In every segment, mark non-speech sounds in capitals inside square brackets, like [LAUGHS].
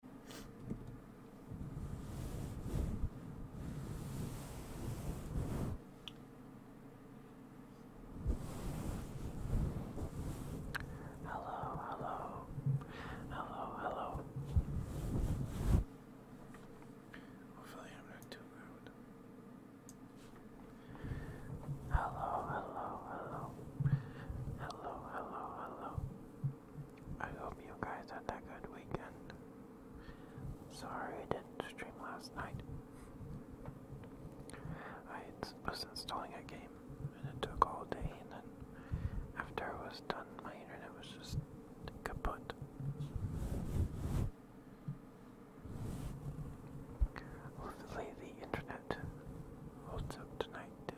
Hello, hello, hello, hello. Hopefully, I'm not too loud. Hello, hello, hello, hello, hello, I hope you guys had a good weekend. Sorry I didn't stream last night. I was installing a game and it took all day and then after it was done my internet was just kaput. Hopefully the internet holds up tonight too.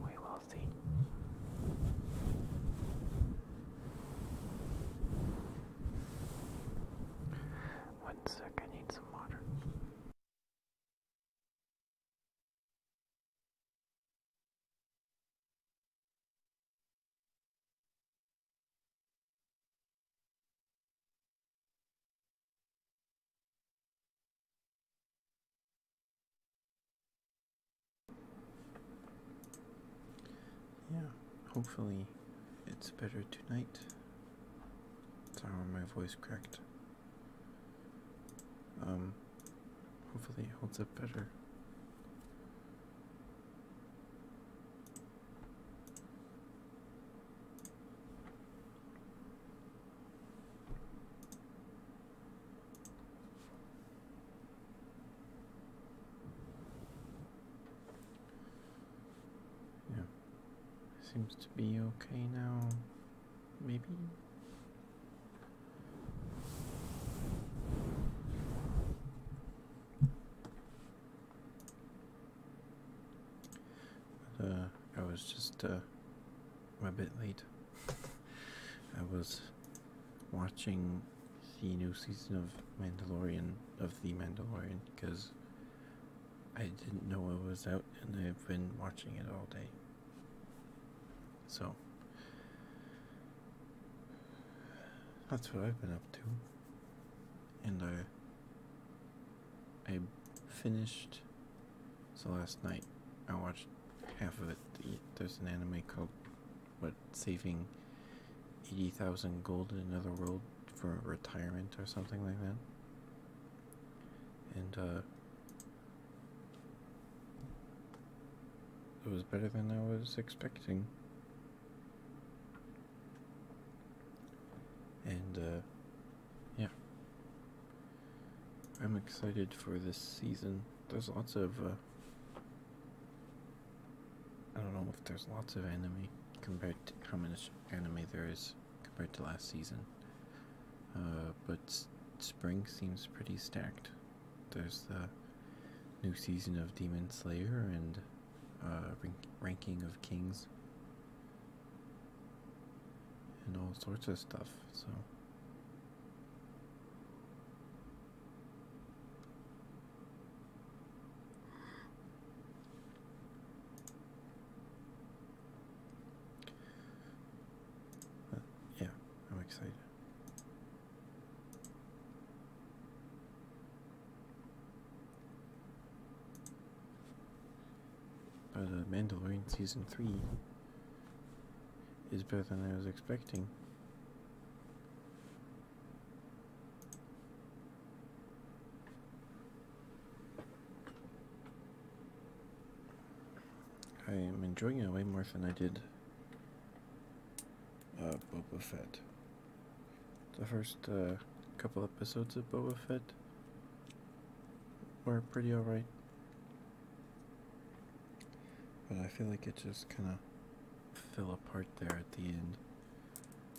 We will see. One sec, I need some water. Yeah, hopefully it's better tonight. Sorry, my voice cracked. Um, hopefully it holds up better. Yeah, seems to be okay now. Maybe. uh, I was just uh, I'm a bit late. I was watching the new season of Mandalorian of the Mandalorian because I didn't know it was out and I've been watching it all day. So that's what I've been up to. And I I finished so last night I watched half of it. There's an anime called "What Saving Eighty Thousand Gold in Another World for Retirement" or something like that. And uh, it was better than I was expecting. And uh, yeah, I'm excited for this season. There's lots of, uh, I don't know if there's lots of anime compared to how much anime there is compared to last season. Uh, but spring seems pretty stacked. There's the new season of Demon Slayer and uh, ranking of kings and all sorts of stuff. So yeah, I'm excited. But uh, Mandalorian season three is better than I was expecting. I am enjoying it way more than I did uh, Boba Fett. The first uh, couple episodes of Boba Fett were pretty alright. But I feel like it just kind of fell apart there at the end.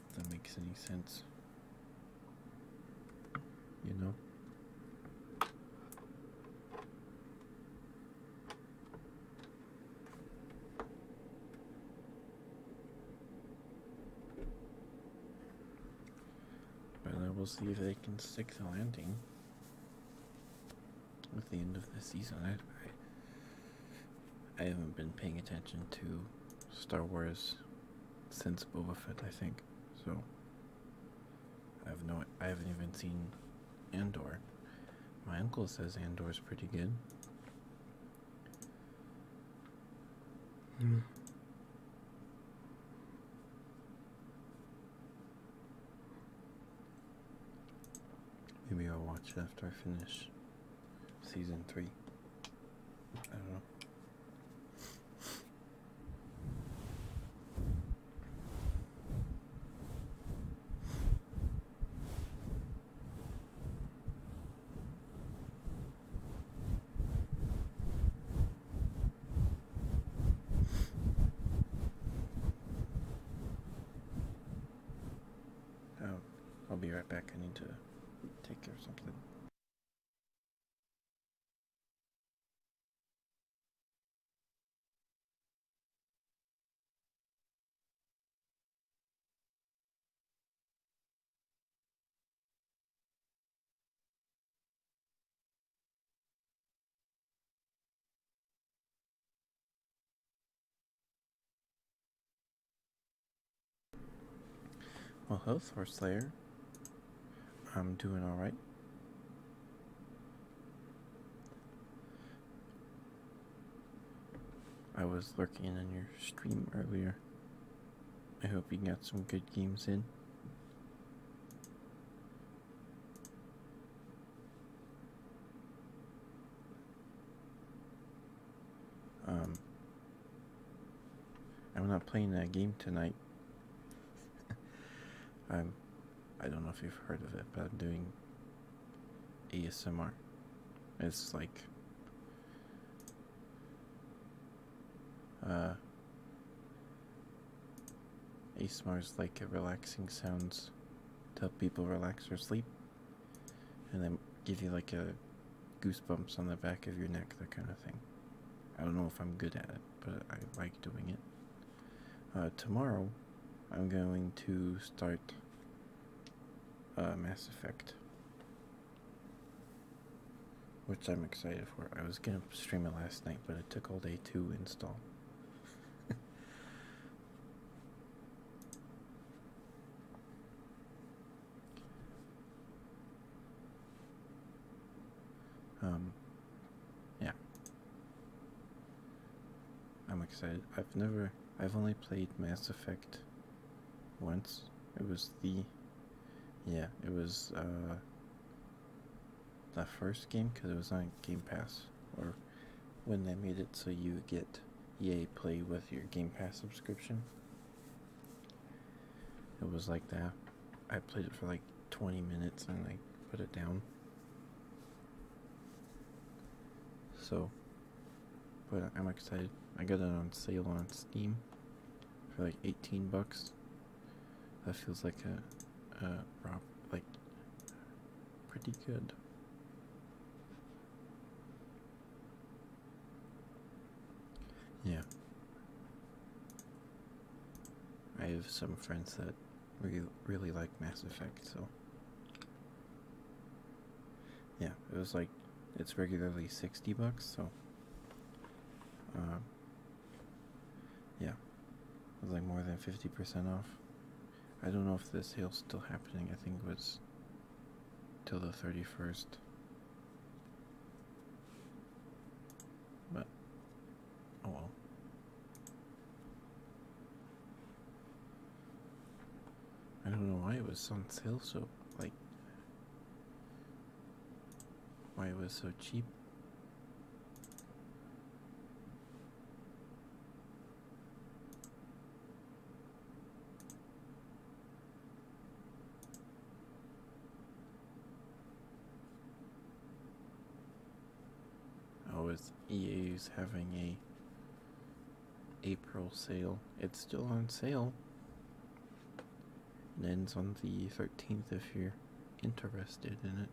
If that makes any sense. You know? But I will see if they can stick the landing with the end of the season. I, haven't been paying attention to Star Wars since Boba Fett, I think. So I have no, I haven't even seen Andor. My uncle says Andor's pretty good. Hmm. Maybe I'll watch it after I finish season three. I don't know. I'll, oh, I'll be right back. I need to take care of something. Well, health, Source Slayer. I'm doing alright. I was lurking in your stream earlier. I hope you got some good games in. Um, I'm not playing that game tonight. [LAUGHS] I'm, I don't know if you've heard of it, but I'm doing ASMR. It's like, uh, ASMR like a relaxing sounds to help people relax or sleep, and then give you like a goosebumps on the back of your neck, that kind of thing. I don't know if I'm good at it, but I like doing it. Uh, tomorrow, I'm going to start uh, Mass Effect, which I'm excited for. I was gonna stream it last night, but it took all day to install. [LAUGHS] Um, yeah. I'm excited. I've never, I've only played Mass Effect once. It was the, yeah, it was, uh, the first game because it was on Game Pass or when they made it so you get EA Play with your Game Pass subscription. It was like that. I played it for like 20 minutes and I put it down. So, but I'm excited. I got it on sale on Steam for like 18 bucks. That feels like a, a rob, like pretty good. Yeah. I have some friends that re really like Mass Effect, so. Yeah, it was like, it's regularly 60 bucks, so. Uh, yeah. It was like more than 50% off. I don't know if this sale's still happening. I think it was till the 31st. But, oh well. I don't know why it was on sale so, like, why it was so cheap. Oh, it's EA's having a April sale. It's still on sale. It ends on the 13th if you're interested in it.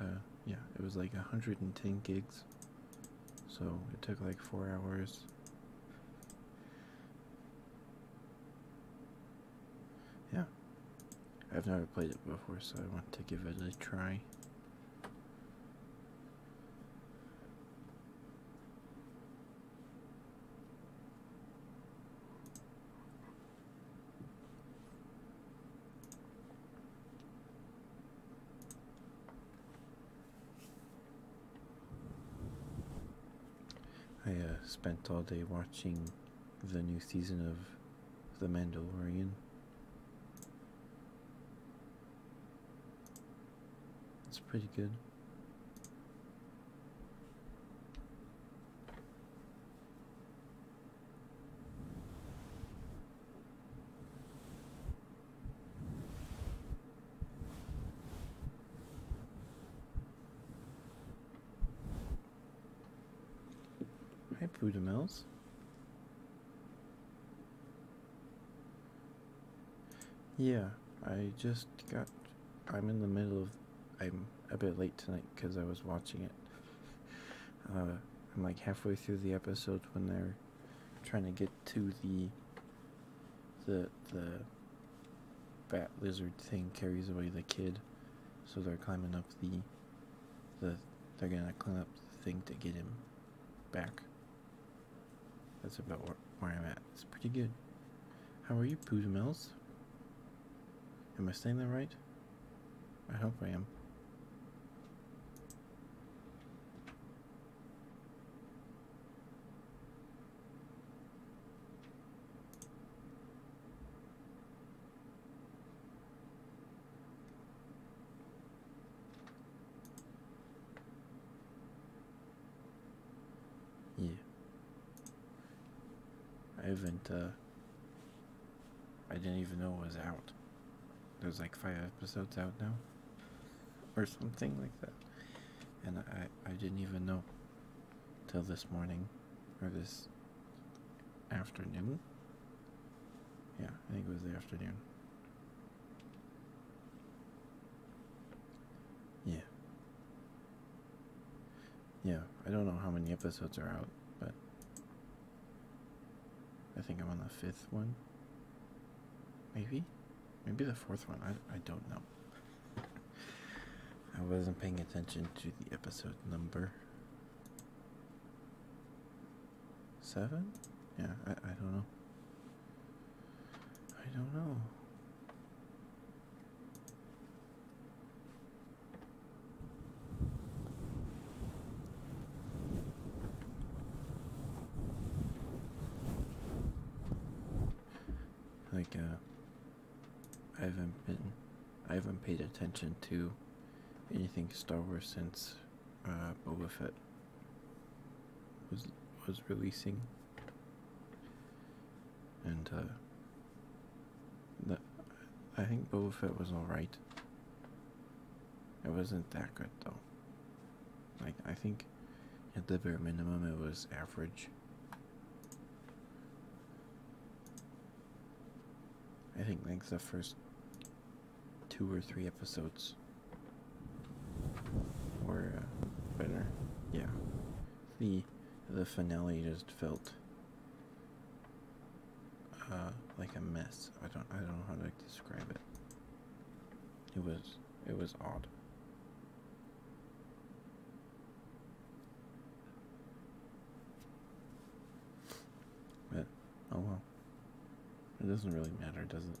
Uh, yeah, it was like 110 gigs, so it took like four hours. Yeah, I've never played it before, so I want to give it a try. I uh, spent all day watching the new season of The Mandalorian. It's pretty good. Hi, Buddha yeah, I just got. I'm in the middle of. I'm a bit late tonight because I was watching it. Uh, I'm like halfway through the episode when they're trying to get to the. The the. Bat lizard thing carries away the kid, so they're climbing up the. The they're gonna climb up the thing to get him back. That's about where I'm at. It's pretty good. How are you, Poozamels? Am I saying that right? I hope I am. Yeah. I haven't, uh, I didn't even know it was out. There's like five episodes out now, or something like that. And I, I didn't even know till this morning, or this afternoon. Yeah, I think it was the afternoon. Yeah. Yeah, I don't know how many episodes are out, but I think I'm on the fifth one. Maybe? Maybe the fourth one. I, I don't know. I wasn't paying attention to the episode number. Seven? Yeah, I, I don't know. I don't know. Like uh I haven't been I haven't paid attention to anything Star Wars since uh Boba Fett was was releasing and uh, the, I think Boba Fett was alright. It wasn't that good though. Like I think at the bare minimum it was average. I think like the first two or three episodes were uh, better. Yeah the the finale just felt uh, like a mess. I don't I don't know how to describe it. It was it was odd. But oh well. It doesn't really matter, does it?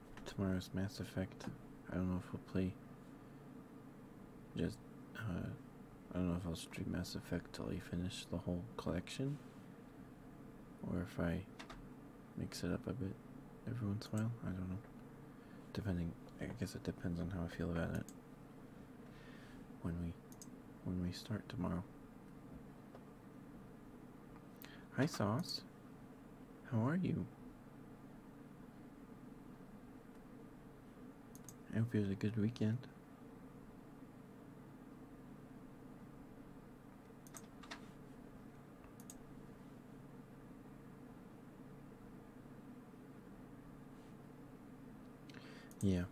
tomorrow's Mass Effect. I don't know if we'll play. Just, uh, I don't know if I'll stream Mass Effect till I finish the whole collection, or if I mix it up a bit every once in a while. I don't know. Depending, I guess it depends on how I feel about it when we when we start tomorrow. Hi, Sauce. How are you? I hope you had a good weekend. Yeah.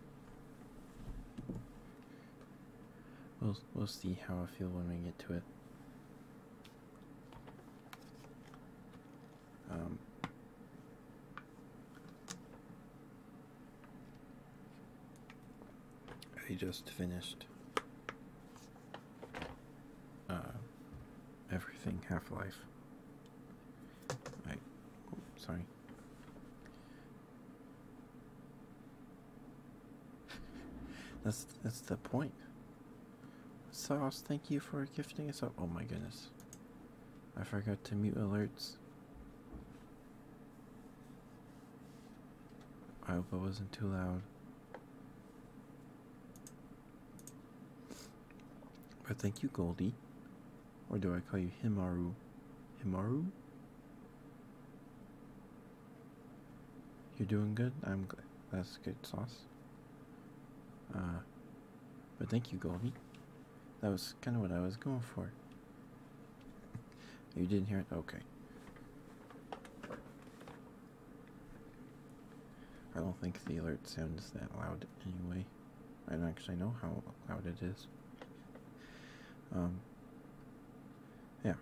We'll we'll see how I feel when we get to it. I um, just finished uh, everything Half Life. I, oh, sorry. That's that's the point. Sauce, thank you for gifting us up. Oh my goodness. I forgot to mute alerts. I hope I wasn't too loud. But thank you, Goldie. Or do I call you Himaru? Himaru? You're doing good? I'm glad. That's good, Sauce. Uh, but thank you, Goldie. That was kind of what I was going for. you didn't hear it? Okay. I don't think the alert sounds that loud anyway. I don't actually know how loud it is. Um, yeah.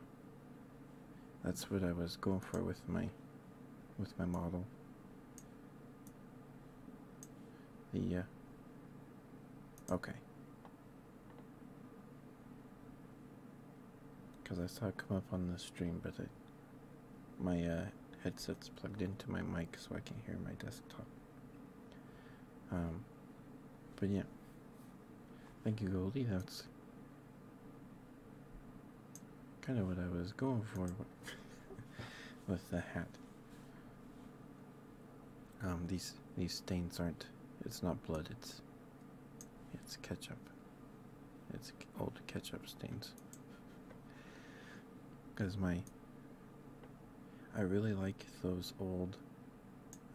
That's what I was going for with my with my model. The, okay. Because I saw it come up on the stream, but my uh, headset's plugged into my mic, so I can hear my desktop. Um, but yeah. Thank you, Goldie. That's kind of what I was going for [LAUGHS] with the hat. Um, these these stains aren't. It's not blood. It's it's ketchup. It's old ketchup stains. Cause my. I really like those old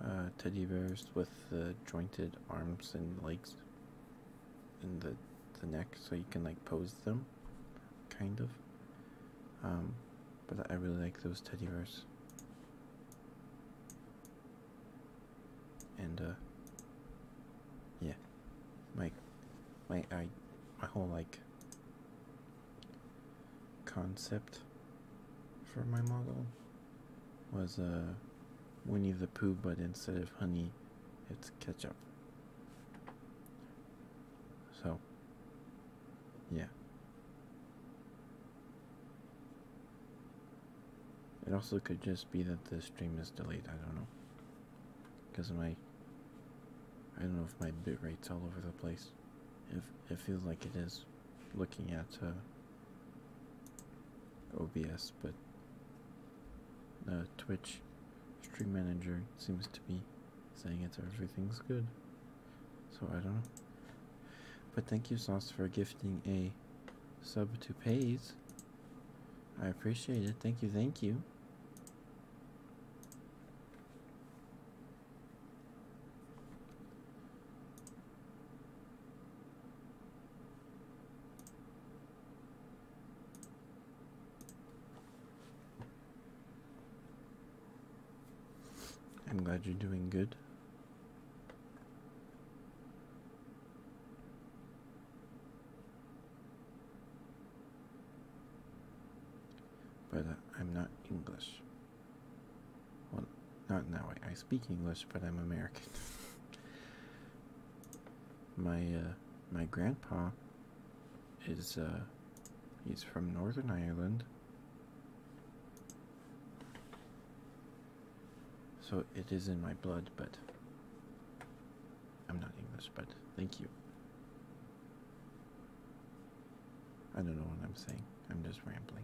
uh, teddy bears with the jointed arms and legs in the the neck so you can like pose them kind of um but I really like those teddy bears and uh yeah my my I my whole like concept for my model was a, uh, Winnie the Pooh but instead of honey it's ketchup. So, yeah. It also could just be that the stream is delayed, I don't know. Because my. I don't know if my bit rate's all over the place. If it feels like it is looking at uh, OBS, but Twitch Stream manager seems to be saying it's everything's good. So I don't know. But thank you, Sauce, for gifting a sub to Pays. I appreciate it. Thank you, thank you. I'm glad you're doing good. But uh, I'm not English. Well, not in that way. I speak English, but I'm American. [LAUGHS] my uh, my grandpa is uh he's from Northern Ireland. So it is in my blood, but I'm not English, but thank you. I don't know what I'm saying. I'm just rambling.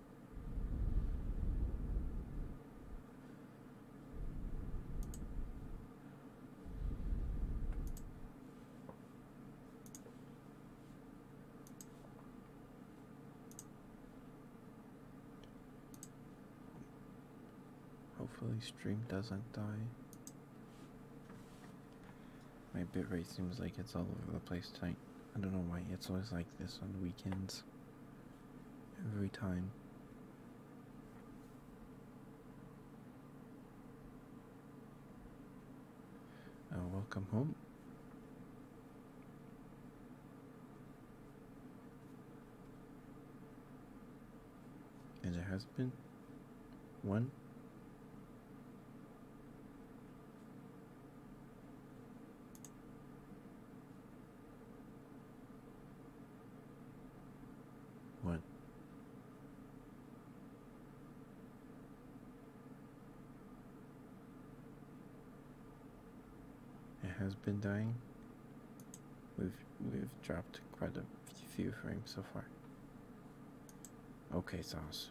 Hopefully stream doesn't die. My bitrate seems like it's all over the place tonight. I don't know why, it's always like this on weekends every time. And uh, welcome home. And there has been one. What? It has been dying. We've we've dropped quite a few frames so far. Okay, sauce.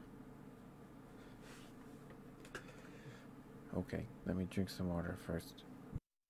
Okay, let me drink some water first.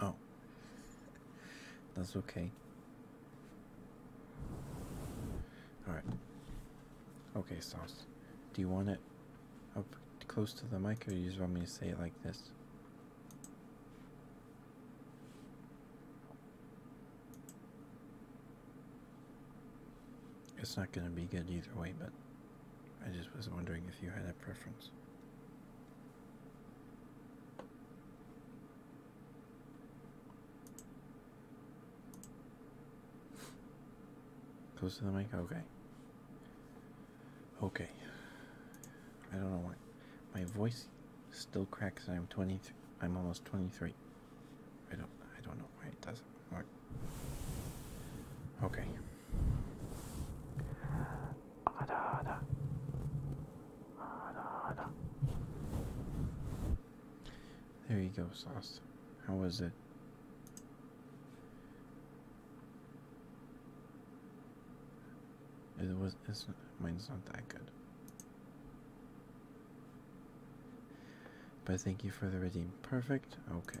Oh, that's okay. All right. Okay, sauce. Do you want it up close to the mic, or you just want me to say it like this? It's not going to be good either way, but I just was wondering if you had a preference. Close to the mic? Okay. Okay. I don't know why. My voice still cracks I'm 23. I'm almost 23. I don't I don't know why it doesn't work. Okay. There you go, Sauce. How was it? It was. mine's not that good. But thank you for the redeem. Perfect. Okay.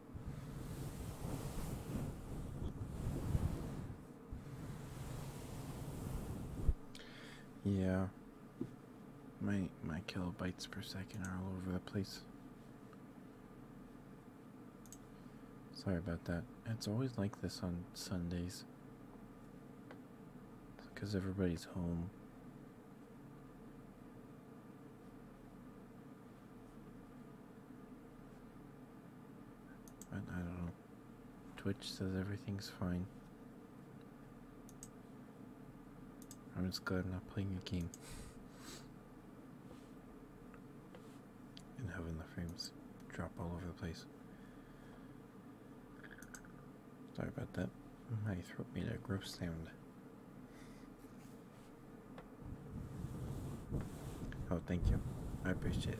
Yeah. My my kilobytes per second are all over the place. Sorry about that. It's always like this on Sundays. Because everybody's home. I don't know. Twitch says everything's fine. I'm just glad I'm not playing a game. and having the frames drop all over the place. Sorry about that. My throat made a gross sound. Oh, thank you. I appreciate it.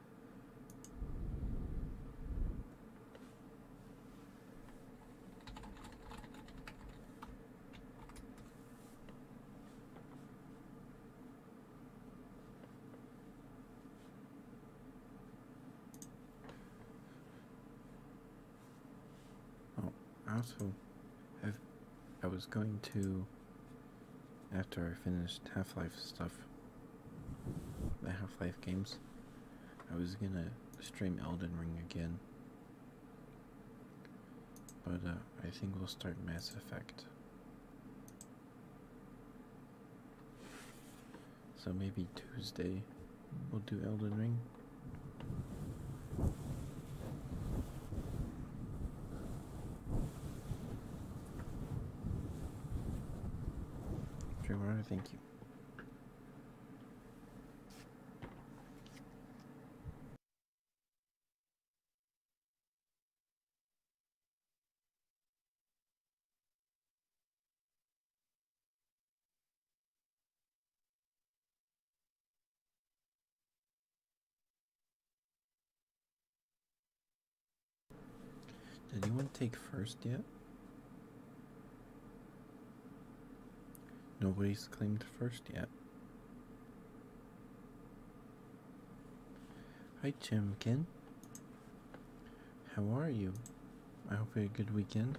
Oh, I also have, I was going to after I finished Half Life stuff, the Half Life games, I was gonna stream Elden Ring again. But uh, I think we'll start Mass Effect. So maybe Tuesday we'll do Elden Ring. Trevor, thank you. Did anyone take first yet? Nobody's claimed first yet. Hi, Chimkin. How are you? I hope you had a good weekend.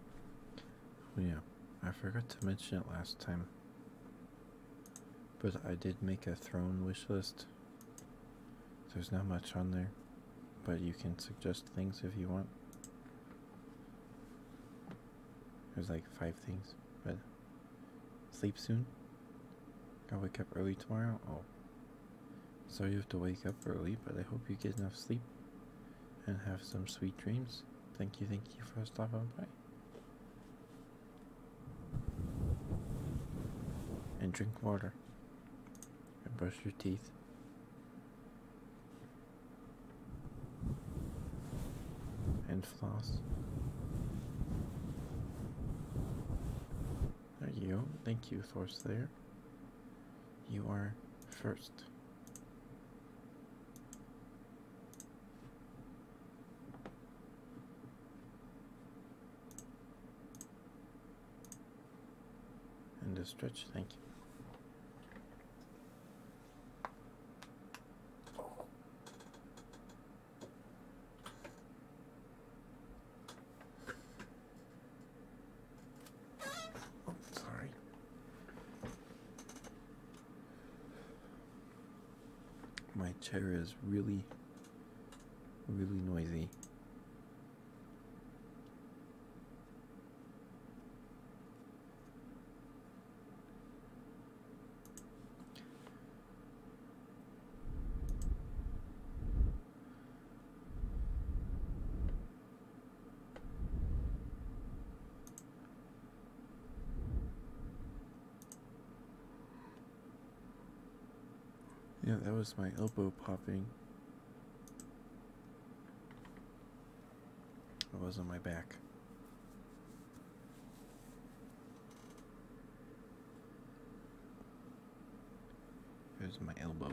Oh, yeah, I forgot to mention it last time. But I did make a throne wish list. There's not much on there, but you can suggest things if you want. There's like five things, but sleep soon. I to wake up early tomorrow. Oh, so you have to wake up early, but I hope you get enough sleep and have some sweet dreams. Thank you, thank you for stopping by. And drink water. And brush your teeth. And floss. There you go. Thank you, Thorslayer. You are first and the stretch, thank you. Oh, sorry. My chair is really, really noisy. Yeah, that was my elbow popping. It was on my back. It was my elbow.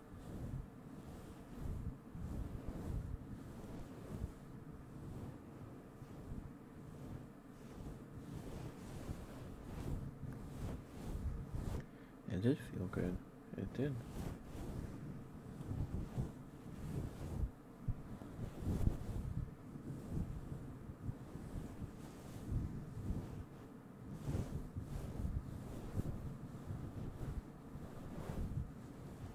It did feel good. It did.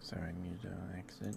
Sorry, I need to exit.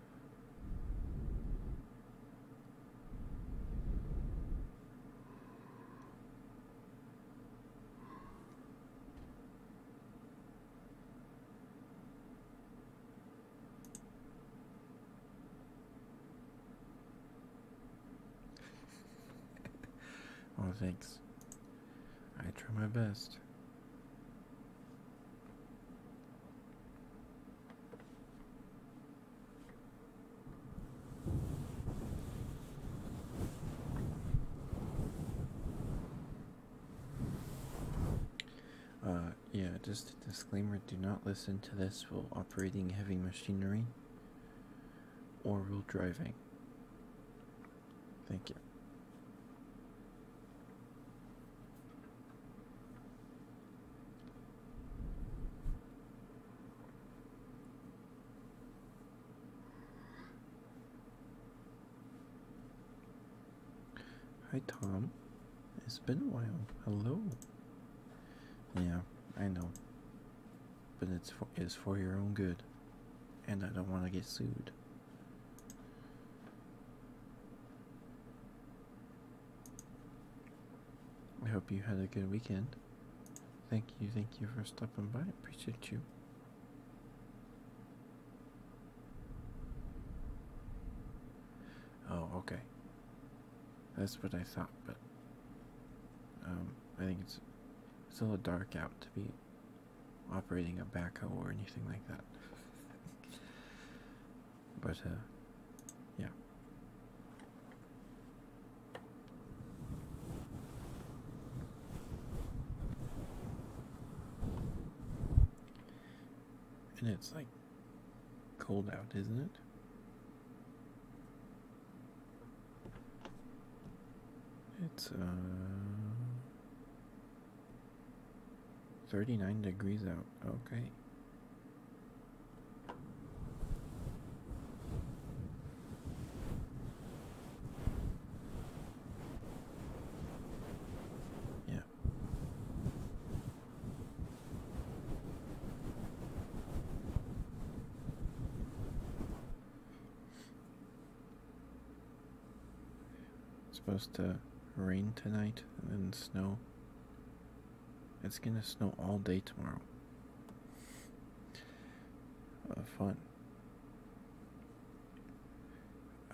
oh, [LAUGHS] thanks. I try my best. Uh, yeah, just a disclaimer do not listen to this while operating heavy machinery or while driving. Thank you. Hi Tom, it's been a while. Hello. Yeah, I know. But it's for, it's for your own good. And I don't want to get sued. I hope you had a good weekend. Thank you, thank you for stopping by. Appreciate you. Oh, okay. That's what I thought, but um, I think it's it's a little dark out to be operating a backhoe or anything like that. But uh, yeah. And it's like cold out, isn't it? It's uh 39 degrees out. Okay. Yeah. supposed to rain tonight and then snow it's gonna snow all day tomorrow. Uh, fun.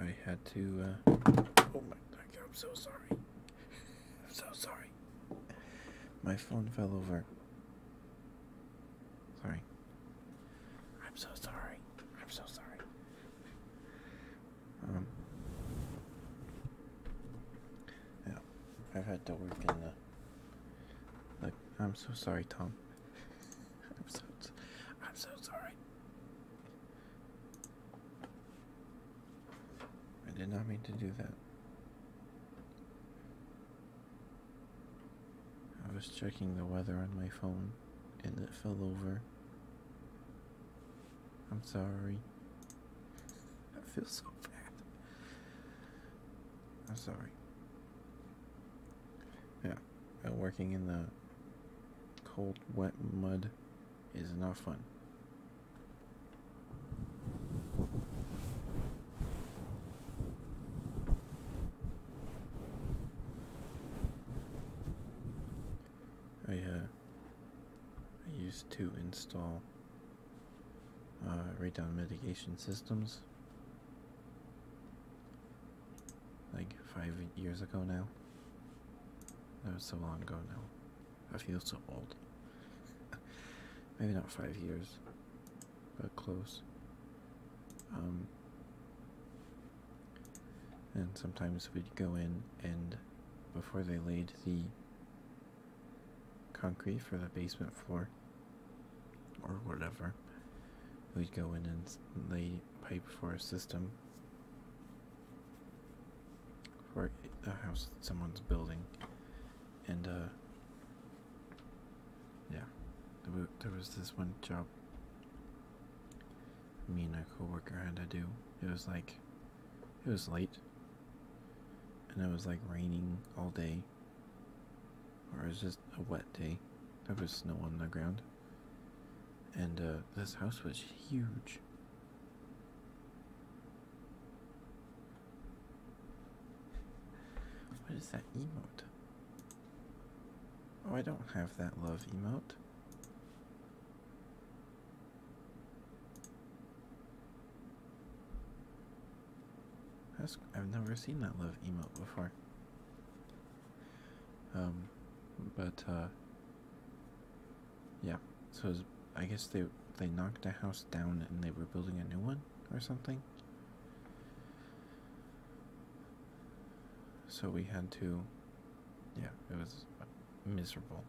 I had to. Uh, oh my God! I'm so sorry. [LAUGHS] I'm so sorry. My phone fell over. Sorry. I'm so sorry. I'm so sorry. Um, yeah, I've had to work in the. Like, I'm so sorry, Tom. [LAUGHS] I'm so, I'm so sorry. I did not mean to do that. I was checking the weather on my phone and it fell over. I'm sorry. I feel so bad. I'm sorry. Yeah, uh, working in the cold, wet mud is not fun. I uh, oh, I used to install uh, down mitigation systems like five years ago now. That was so long ago now. I feel so old. [LAUGHS] Maybe not five years, but close. Um, and sometimes we'd go in and before they laid the concrete for the basement floor or whatever. We'd go in and lay pipe for a system for a house that someone's building. And, uh, yeah, there was this one job me and a coworker had to do. It was like, it was late and it was like raining all day, or it was just a wet day. There was snow on the ground, and uh, this house was huge. What is that emot? Oh, I don't have that love emot. I've never seen that love emote before. Um, but uh, yeah. So I guess they they knocked a house down and they were building a new one or something. So we had to. Yeah, it was miserable.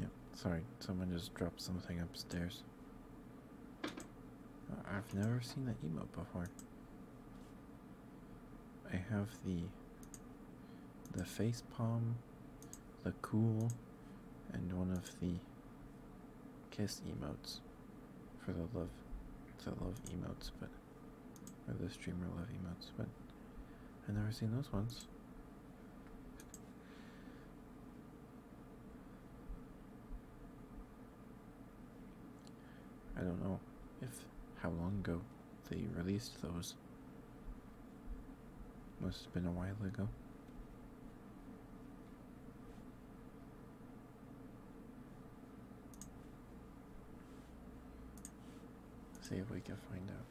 Yeah, sorry, someone just dropped something upstairs. Uh, I've never seen that emote before. I have the the face palm, the cool, and one of the kiss emotes for the love the love emotes but or the streamer love emotes but I've never seen those ones. I don't know if how long ago they released those. Must have been a while ago. See if we can find out.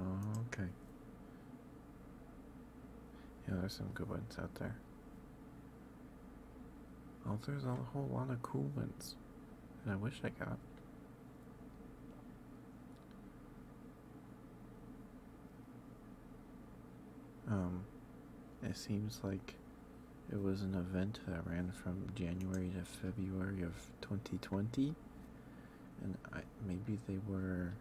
Oh, okay. Yeah, there's some good ones out there. Oh, there's a whole lot of cool ones and I wish I got. Um, it seems like it was an event that ran from January to February of 2020, and I, maybe they were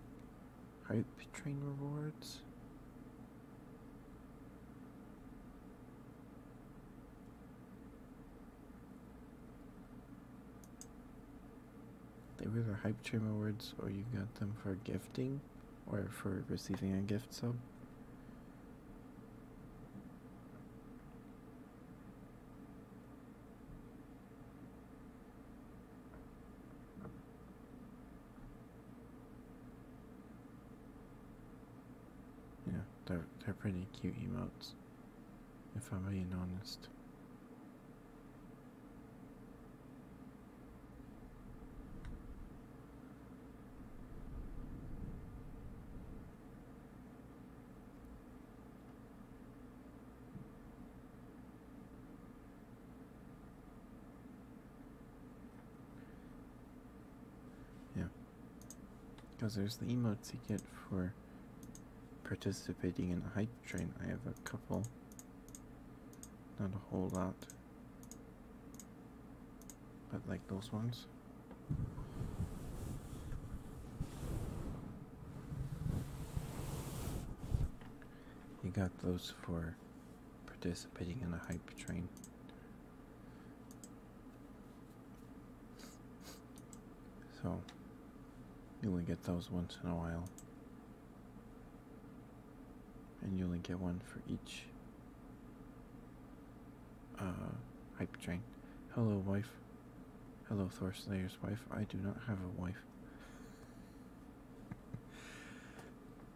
Hype train rewards. They were the hype train rewards, or you got them for gifting, or for receiving a gift sub. Yeah, they're, they're pretty cute emotes, if I'm being honest. Yeah. Because there's the emote you get for participating in a hype train. I have a couple. Not a whole lot. But like those ones. You got those for participating in a hype train. So, you only get those once in a while. And you only get one for each uh, hype train. Hello, wife. Hello, Thorslayer's wife. I do not have a wife. [LAUGHS]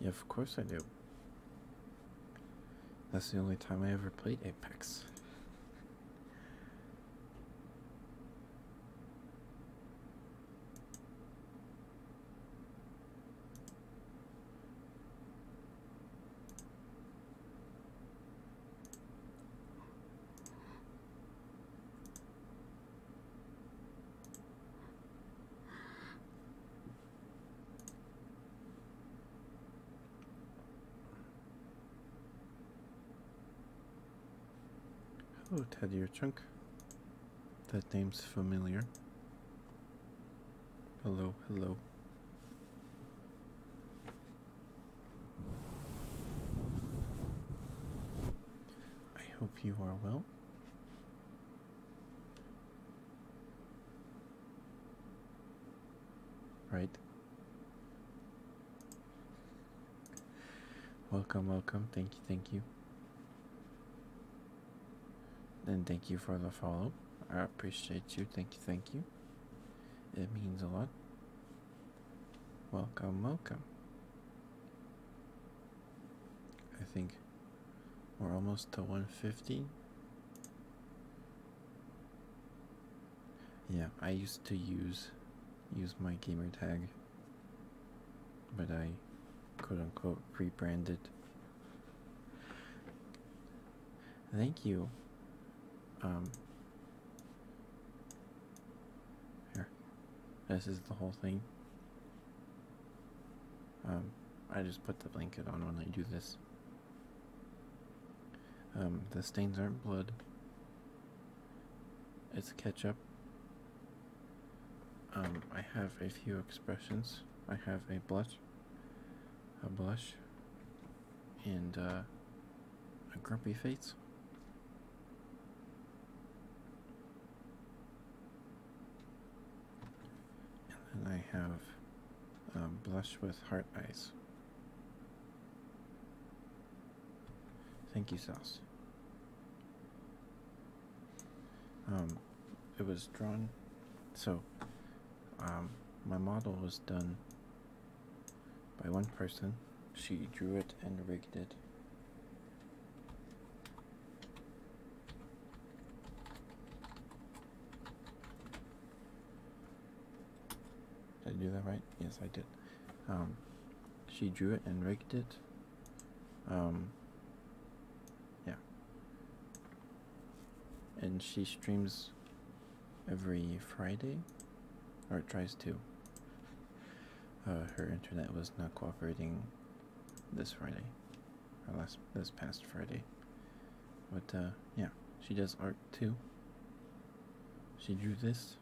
Yeah, of course I do. That's the only time I ever played Apex. Hello, Teddy or Chunk. That name's familiar. Hello, hello. I hope you are well. Right. Welcome, welcome. Thank you, thank you. Then thank you for the follow. I appreciate you. Thank you, thank you. It means a lot. Welcome, welcome. I think we're almost to 150. Yeah, I used to use use my gamer tag, but I quote unquote rebranded Thank you. Um here. This is the whole thing. Um I just put the blanket on when I do this. Um the stains aren't blood. It's ketchup. Um I have a few expressions. I have a blush, a blush, and uh, a grumpy face. And then I have a blush with heart eyes. Thank you, Sauce. Um, it was drawn so um, my model was done by one person she drew it and rigged it did I do that right? Yes, I did. Um, she drew it and rigged it. Um, yeah. And she streams every Friday, or tries to. Uh, her internet was not cooperating this Friday, or last this past Friday. But uh, yeah, she does art too. She drew this.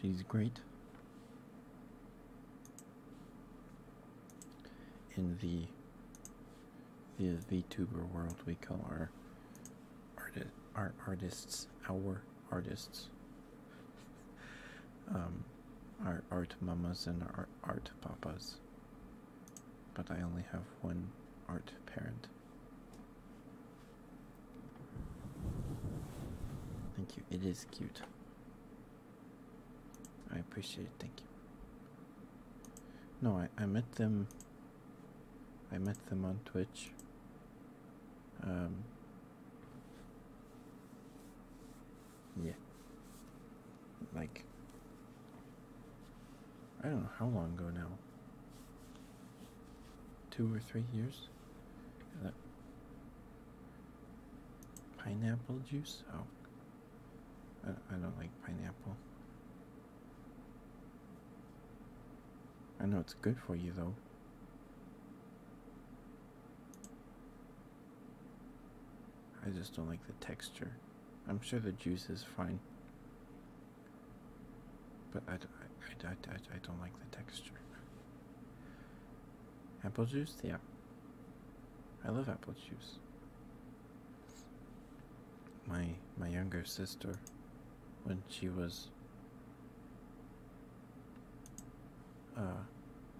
She's great in the the VTuber world we call our artist our artists our artists [LAUGHS] um our art mamas and our art papas but I only have one art parent thank you it is cute I appreciate it. Thank you. No, I I met them. I met them on Twitch. Um. Yeah. Like. I don't know how long ago now. Two or three years. pineapple juice. Oh, I, I don't like pineapple. I know it's good for you though. I just don't like the texture. I'm sure the juice is fine. But I, I, I, I, I don't like the texture. Apple juice? Yeah. I love apple juice my my younger sister when she was uh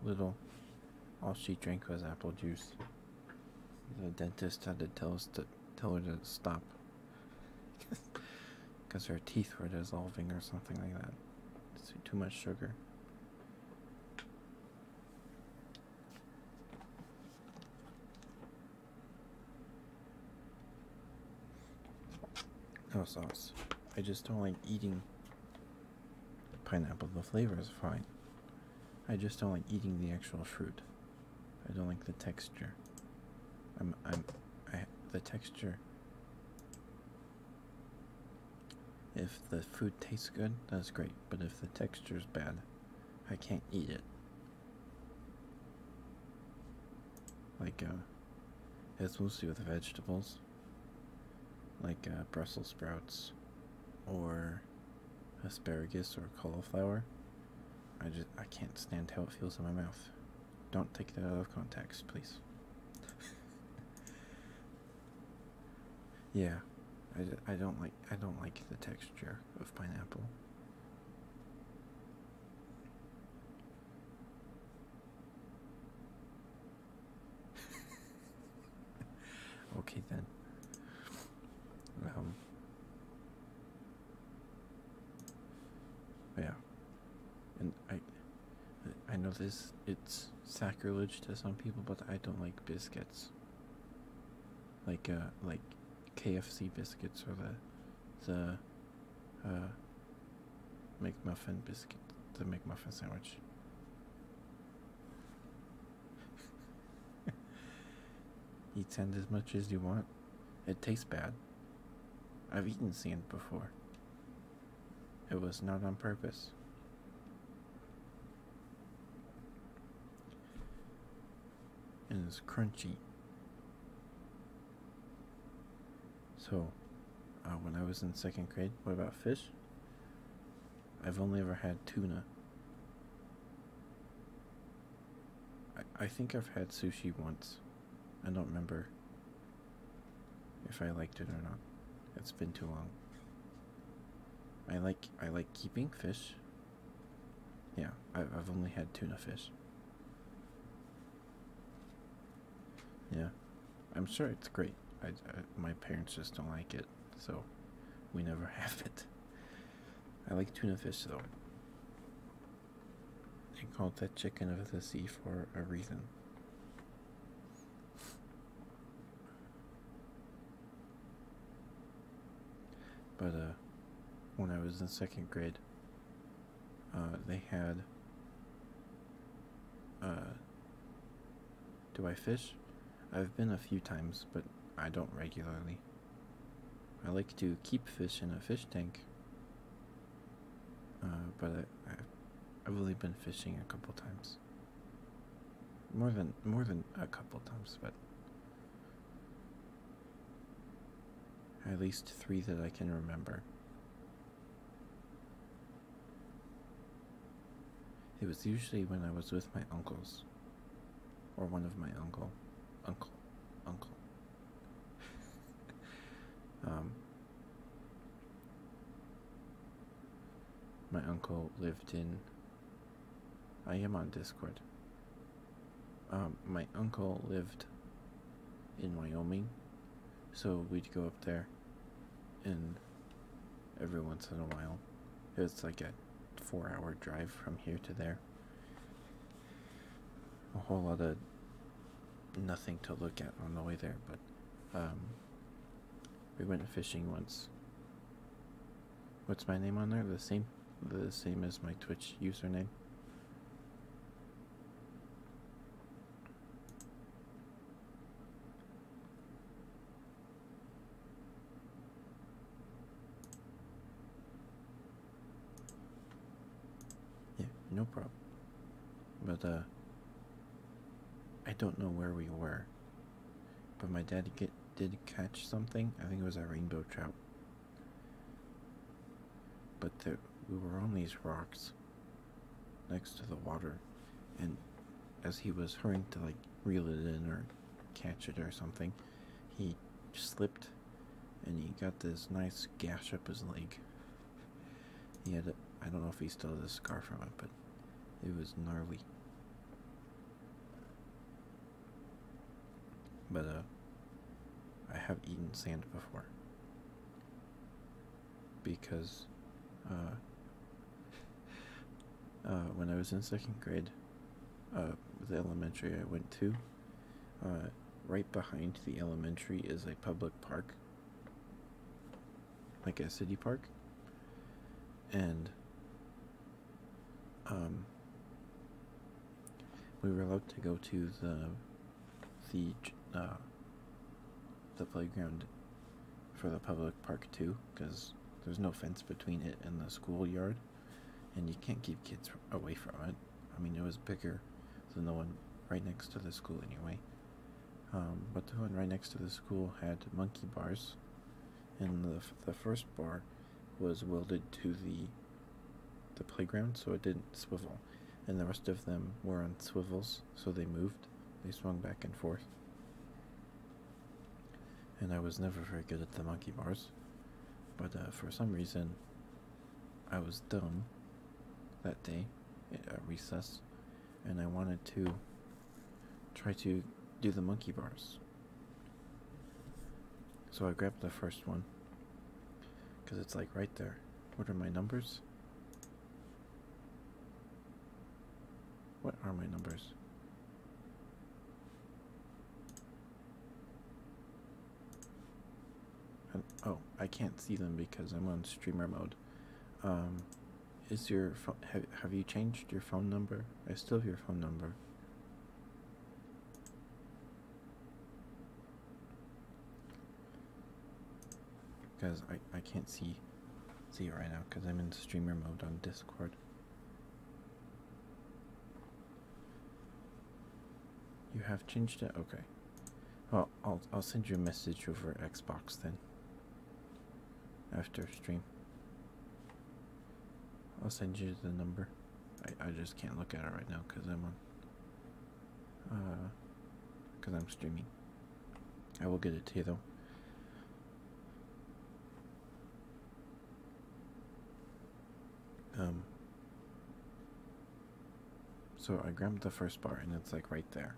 little all she drank was apple juice the dentist had to tell us to tell her to stop because [LAUGHS] her teeth were dissolving or something like that too much sugar no sauce. I just don't like eating pineapple. The flavor is fine. I just don't like eating the actual fruit. I don't like the texture. I'm I'm I the texture. If the food tastes good, that's great. But if the texture is bad, I can't eat it. Like, uh, it's supposed to with vegetables, like uh, Brussels sprouts, or asparagus or cauliflower. I just I can't stand how it feels in my mouth. Don't take that out of context, please. [LAUGHS] Yeah, I, I don't like I don't like the texture of pineapple. [LAUGHS] okay then. Um, yeah, and I, I know this it's sacrilege to some people, but I don't like biscuits like uh like KFC biscuits or the the uh McMuffin biscuit the McMuffin sandwich. [LAUGHS] Eat sand as much as you want. It tastes bad. I've eaten sand before. It was not on purpose and it's crunchy. So, uh, when I was in second grade, what about fish? I've only ever had tuna. I, I think I've had sushi once. I don't remember if I liked it or not. It's been too long. I like I like keeping fish. Yeah, I've only had tuna fish. Yeah, I'm sure it's great. I, my parents just don't like it, so we never [LAUGHS] have it. I like tuna fish though. They called that chicken of the sea for a reason. But when I was in second grade, uh, they had. Uh, do I fish? I've been a few times, but I don't regularly. I like to keep fish in a fish tank, uh, but I, I've only been fishing a couple times. More than more than a couple times, but at least three that I can remember. It was usually when I was with my uncles, or one of my uncle, uncle, uncle. [LAUGHS] um, my uncle lived in I am on Discord. Um, my uncle lived in Wyoming, so we'd go up there, and every once in a while, it's like a four-hour drive from here to there. A whole lot of nothing to look at on the way there, but um, we went fishing once, What's my name on there? The same the same as my Twitch username. Yeah, no problem. But uh I don't know where we were. But my dad get, did catch something. I think it was a rainbow trout. But we were on these rocks next to the water, and as he was hurrying to like reel it in or catch it or something, he slipped and he got this nice gash up his leg. He had, I I don't know if he still has a scar from it, but it was gnarly. But uh, I have eaten sand before because uh, [LAUGHS] uh, when I was in second grade, the elementary I went to, right behind the elementary is a public park, like a city park, and um, we were allowed to go to the the uh, the playground for the public park too, because there's no fence between it and the schoolyard, and you can't keep kids away from it. I mean, it was bigger than the one right next to the school anyway. Um, but the one right next to the school had monkey bars, and the the first bar was welded to the the playground so it didn't swivel and the rest of them were on swivels so they moved they swung back and forth and i was never very good at the monkey bars but uh, for some reason i was dumb that day at uh, recess and i wanted to try to do the monkey bars so I grabbed the first one because it's like right there. What are my numbers? What are my numbers? oh, I can't see them because I'm on streamer mode. Um, is your have have you changed your phone number? I still have your phone number. Because I, I can't see see it right now because I'm in streamer mode on Discord. You have changed it? Okay. Well, I'll, I'll send you a message over Xbox then. After stream. I'll send you the number. I I just can't look at it right now because I'm on. Uh, because I'm streaming. I will get it to you though. Um. So I grabbed the first bar and it's like right there.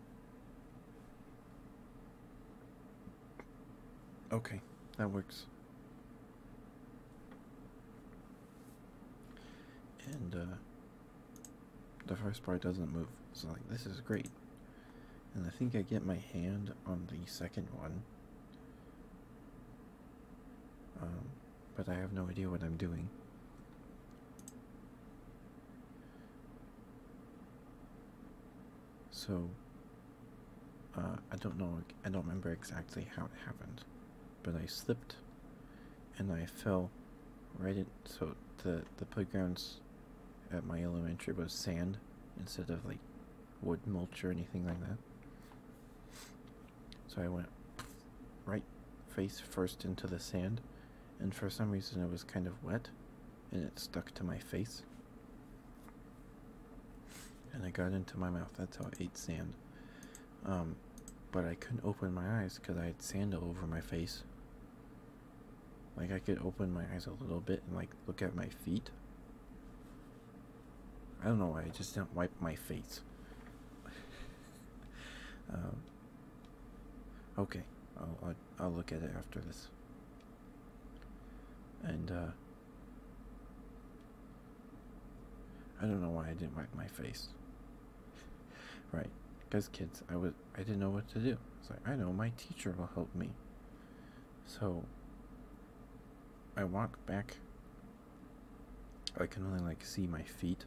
Okay, that works. And uh, the first part doesn't move. So like this is great. And I think I get my hand on the second one. Um, but I have no idea what I'm doing. So uh, I don't know, I don't remember exactly how it happened, but I slipped and I fell right in. So the, the playgrounds at my elementary was sand instead of like wood mulch or anything like that. So I went right face first into the sand, and for some reason it was kind of wet and it stuck to my face and I got into my mouth. That's how I ate sand. Um, but I couldn't open my eyes because I had sand all over my face. Like I could open my eyes a little bit and like look at my feet. I don't know why I just do not wipe my face. [LAUGHS] Um, okay, I'll, I'll look at it after this. And uh, I don't know why I didn't wipe my face. right, because kids, I was I didn't know what to do. I was like I know my teacher will help me. So I walk back. I can only like see my feet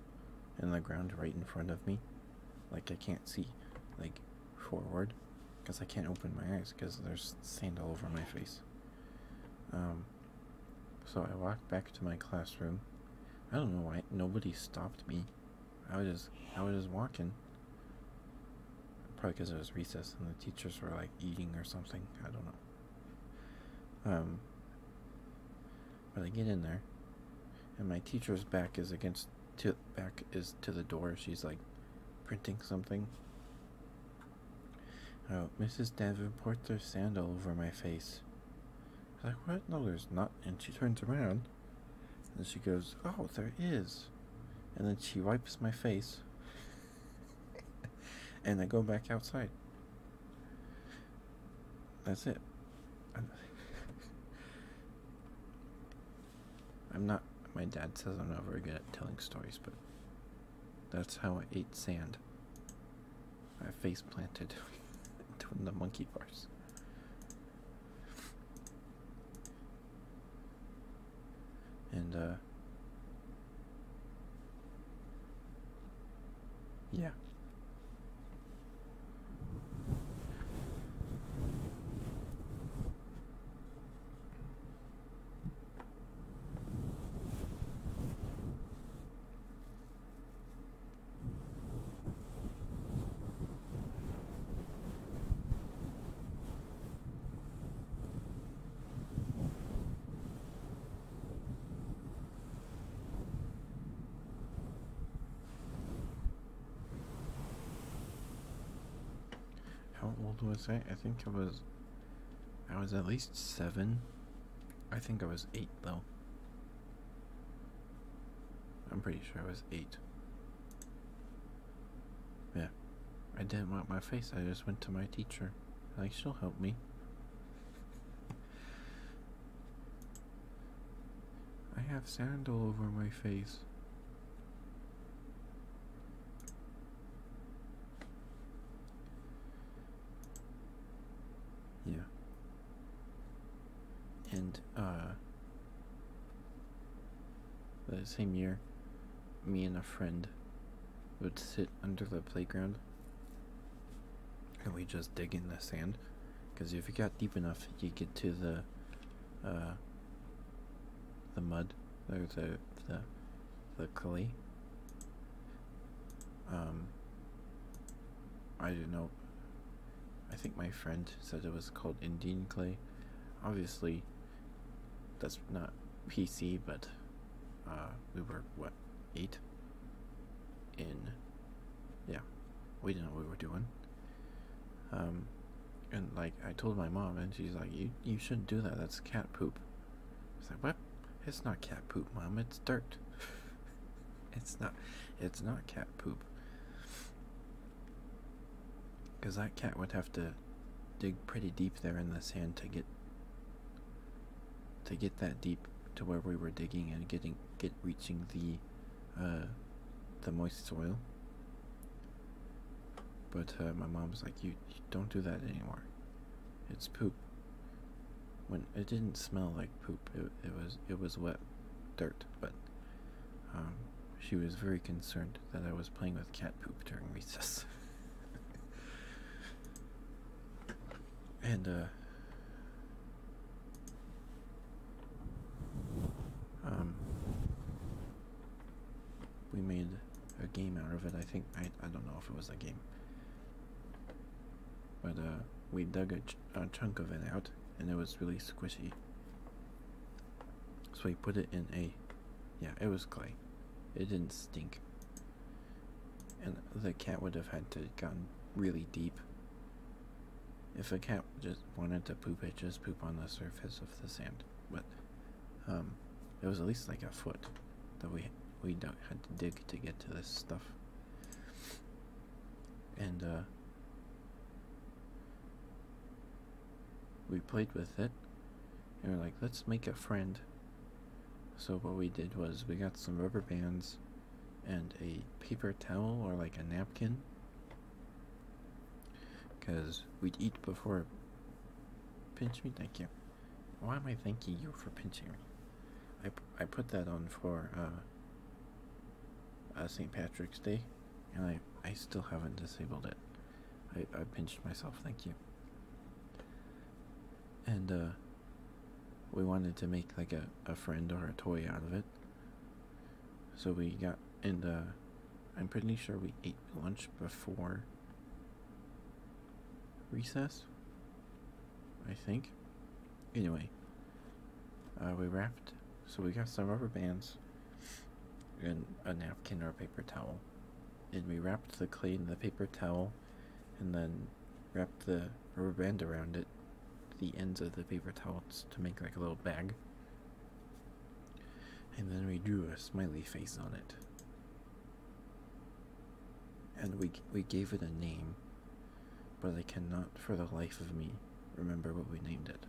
and the ground right in front of me. Like I can't see like forward because I can't open my eyes because there's sand all over my face. Um so I walked back to my classroom. I don't know why nobody stopped me. I was just I was just walking. Probably because it was recess and the teachers were like eating or something. I don't know. Um. But I get in there, and my teacher's back is against to back is to the door. She's like printing something. Oh, Mrs. Davenport threw sand all over my face. I was like, what? No, there's not. And she turns around. And she goes, oh, there is. And then she wipes my face. [LAUGHS] and I go back outside. That's it. I'm, [LAUGHS] I'm not. My dad says I'm not very good at telling stories, but that's how I ate sand. I face planted [LAUGHS] into the monkey bars. And uh, yeah. How old was I? I think I was I was at least seven. I think I was eight, though. I'm pretty sure I was eight. Yeah. I didn't wipe my face, I just went to my teacher. Like, she'll help me. I have sand all over my face. Yeah. And uh the same year me and a friend would sit under the playground and we just dig in the sand because if you got deep enough you get to the uh the mud or the the luckily. Um, I don't know. I think my friend said it was called Indian clay. Obviously, that's not PC, but uh, we were what eight in. Yeah, we didn't know we were doing. Um, and like I told my mom, and she's like, "You you shouldn't do that. That's cat poop." It's like what? It's not cat poop, mom. It's dirt. [LAUGHS] it's not. It's not cat poop. Because that cat would have to dig pretty deep there in the sand to get to get that deep to where we were digging and getting get reaching the uh, the moist soil. But uh, my was like, you don't do that anymore. It's poop when it didn't smell like poop it, it was it was wet dirt but um, she was very concerned that I was playing with cat poop during recess [LAUGHS] and uh, um we made a game out of it I think I I don't know if it was a game but uh, we dug a, chunk of it out, and it was really squishy. So we put it in a, yeah, it was clay. It didn't stink. And the cat would have had to have gotten really deep. If a cat just wanted to poop, it just poop on the surface of the sand. But um, it was at least like a foot that we we had to dig to get to this stuff and uh, we played with it and we're like let's make a friend so what we did was we got some rubber bands and a paper towel or like a napkin because we'd eat before pinch me thank you why am I thanking you for pinching me? I, I put that on for uh, uh St. Patrick's Day, and I, I still haven't disabled it. I, I pinched myself, thank you. And uh, we wanted to make like a, a friend or a toy out of it. So we got, and uh, I'm pretty sure we ate lunch before recess, I think. Anyway, uh, we wrapped, so we got some rubber bands and a napkin or a paper towel, and we wrapped the clay in the paper towel, and then wrapped the rubber band around it, the ends of the paper towels to make like a little bag. And then we drew a smiley face on it and we we gave it a name, but I cannot for the life of me remember what we named it.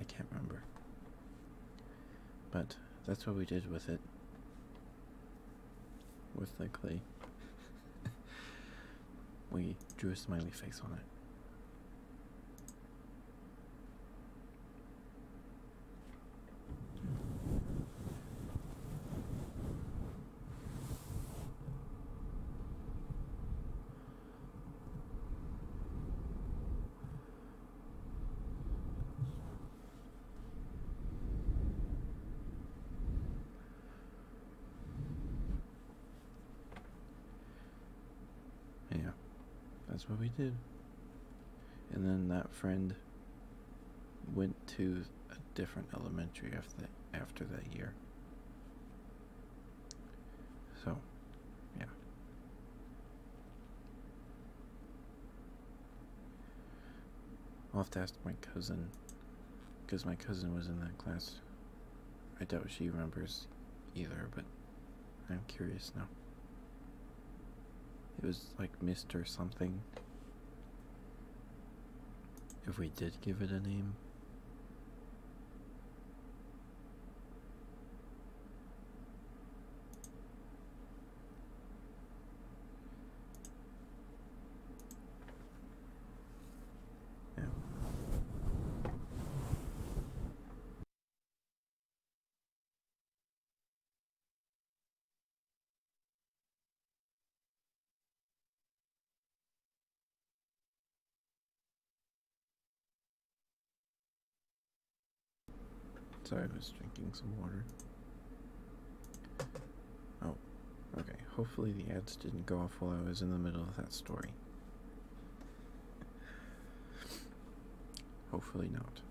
I can't remember. But that's what we did with it. Most likely, [LAUGHS] we drew a smiley face on it. Yeah, that's what we did. And then that friend went to a different elementary after that, after that year. So, yeah. I'll have to ask my cousin, because my cousin was in that class. I doubt she remembers either, but I'm curious now. It was like Mr. something. If we did give it a name. Sorry, I was drinking some water. Oh, okay. Hopefully, the ads didn't go off while I was in the middle of that story. Hopefully, not.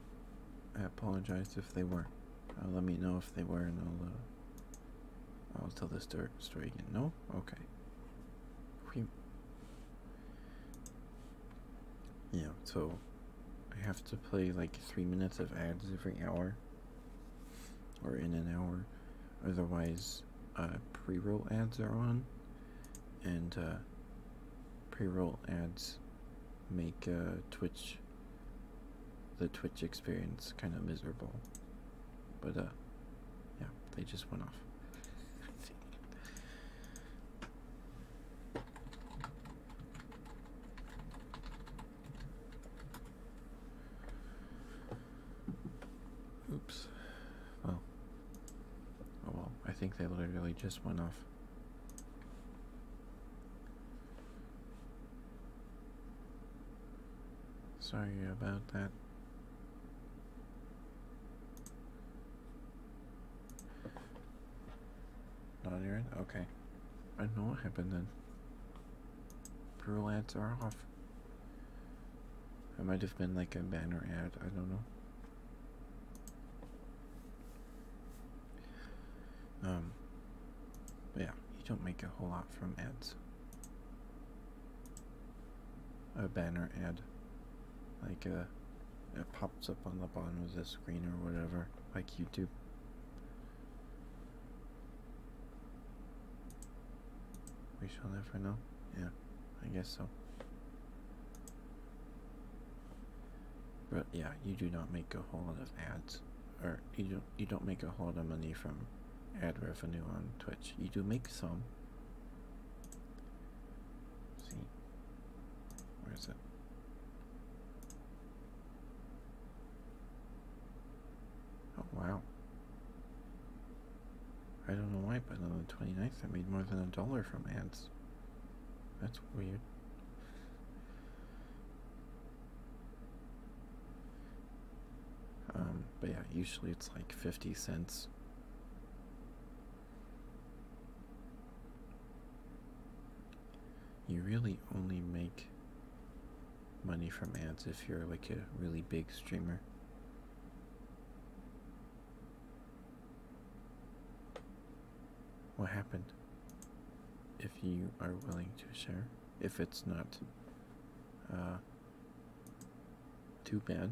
I apologize if they were. Uh, let me know if they were, and I'll uh, I'll tell the story again. No? Okay. yeah, so I have to play like three minutes of ads every hour or in an hour. Otherwise, uh, pre roll ads are on, and uh, pre roll ads make uh, Twitch the Twitch experience kind of miserable. But, uh, yeah, they just went off. [LAUGHS] Oops. Well. Oh well, I think they literally just went off. Sorry about that. Not on Okay. I know what happened then. Brulettes are off. It might have been like a banner ad, I don't know. Um yeah, you don't make a whole lot from ads. A banner ad. Like a uh, it pops up on the bottom of the screen or whatever, like YouTube. We shall never know. Yeah, I guess so. But yeah, you do not make a whole lot of ads, or you don't you don't make a whole lot of money from ad revenue on Twitch. You do make some. see, where is it? Oh wow. I don't know why, but on the 29th I made more than a dollar from ads. That's weird. Um, but yeah, usually it's like 50 cents. You really only make money from ads if you're like a really big streamer. What happened? If you are willing to share, if it's not uh, too bad.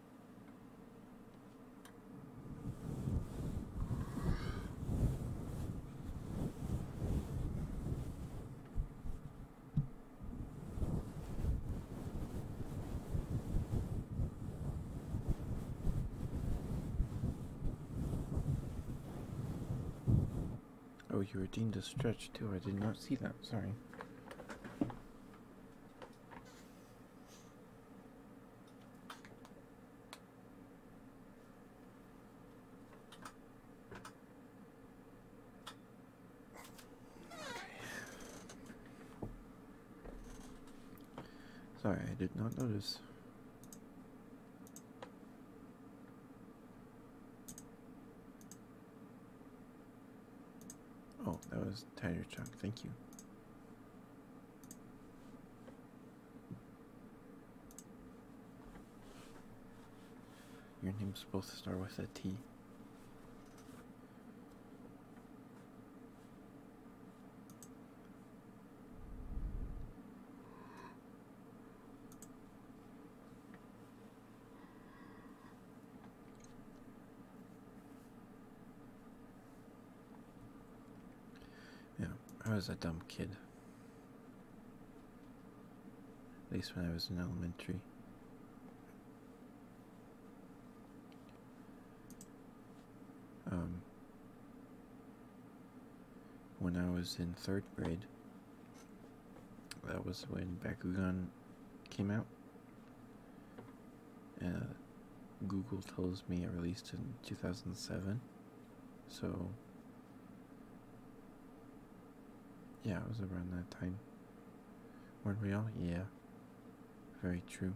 Oh, you redeemed a stretch too. I did not see that. Sorry. Sorry, I did not notice. Oh, that was tire chunk. Thank you. Your name's supposed to start with a T. Yeah, I was a dumb kid. At least when I was in elementary. Um, when I was in third grade, that was when Bakugan came out. Google tells me it released in 2007. So, yeah, it was around that time. Weren't we all? Yeah. Very true.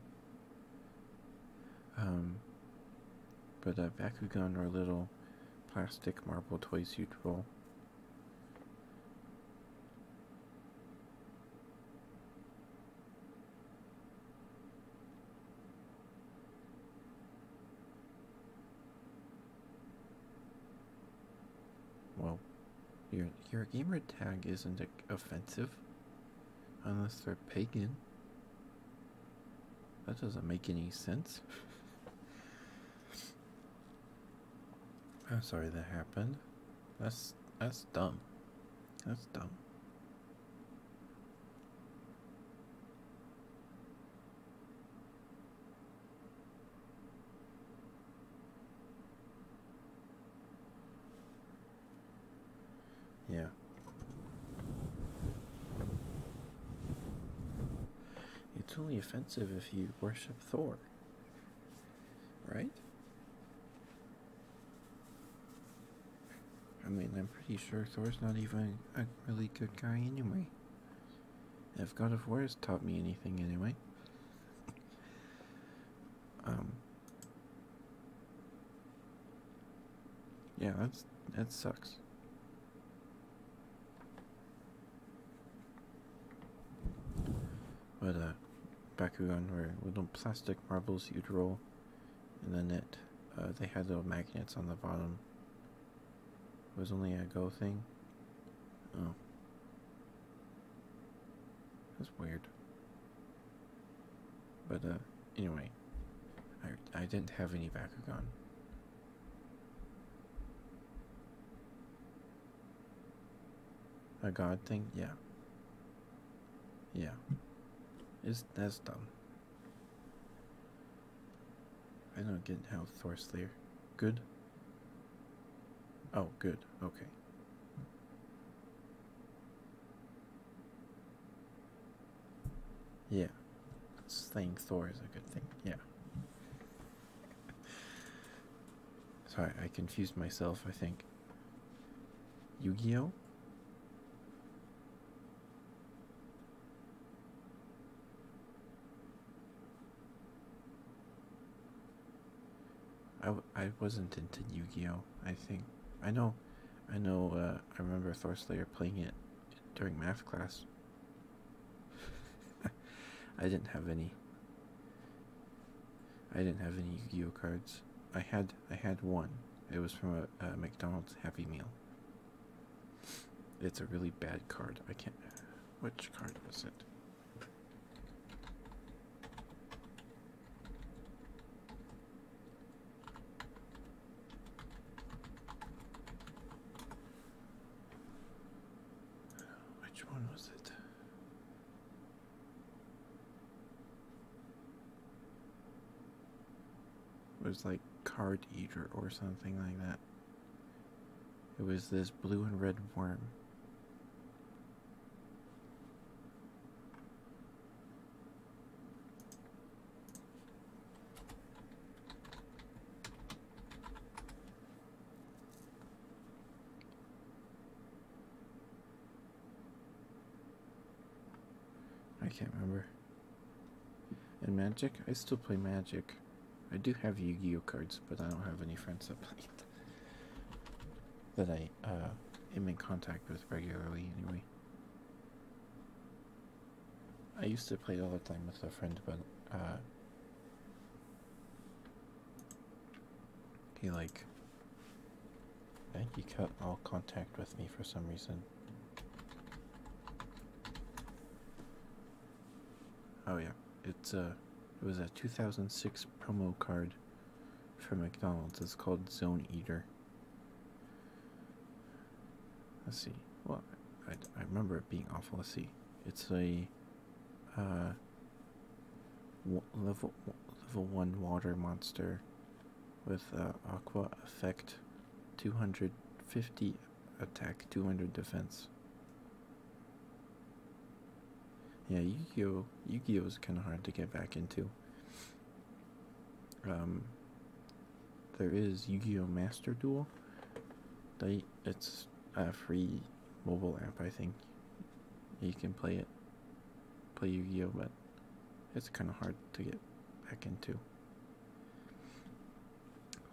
Um, but uh, Bakugan are little plastic marble toys you'd well, your, your gamer tag isn't offensive unless they're pagan. That doesn't make any sense. [LAUGHS] I'm sorry that happened. That's that's dumb. That's dumb. Yeah. It's only offensive if you worship Thor. Right? I mean, I'm pretty sure Thor's not even a really good guy anyway. If God of War has taught me anything anyway. Um. Yeah, that's that sucks. But uh, Bakugan were little plastic marbles you'd roll and then it uh, they had little magnets on the bottom. It was only a go thing. Oh. That's weird. But uh anyway, I I didn't have any Bakugan. A god thing? Yeah. Yeah. It's that's dumb. I don't get how Thor's there. Good? Oh, good. Okay. Yeah. Slaying Thor is a good thing. Yeah. [LAUGHS] Sorry, I confused myself, I think. Yu-Gi-Oh I, w I wasn't into Yu-Gi-Oh I think I know I know uh, I remember Thorslayer playing it during math class [LAUGHS] I didn't have any I didn't have any Yu-Gi-Oh cards. I had I had one. It was from a, McDonald's Happy Meal. It's a really bad card. I can't. Which card was it? Which one was it? It was like card eater or something like that. It was this blue and red worm. I can't remember. And Magic? I still play Magic. I do have Yu-Gi-Oh cards, but I don't have any friends that [LAUGHS] play it. That I uh, am in contact with regularly, anyway. I used to play all the time with a friend, but uh, he like Thank you cut all contact with me for some reason. Oh yeah, it's a uh, it was a 2006 promo card from McDonald's. It's called Zone Eater. Let's see. Well, I, I remember it being awful. Let's see. It's a uh, level level one water monster with uh, Aqua Effect 250 attack, 200 defense. Yeah, Yu-Gi-Oh! Yu-Gi-Oh! is kind of hard to get back into. Um, there is Yu-Gi-Oh! Master Duel. it's a free mobile app, I think. You can play it play Yu-Gi-Oh, but it's kind of hard to get back into.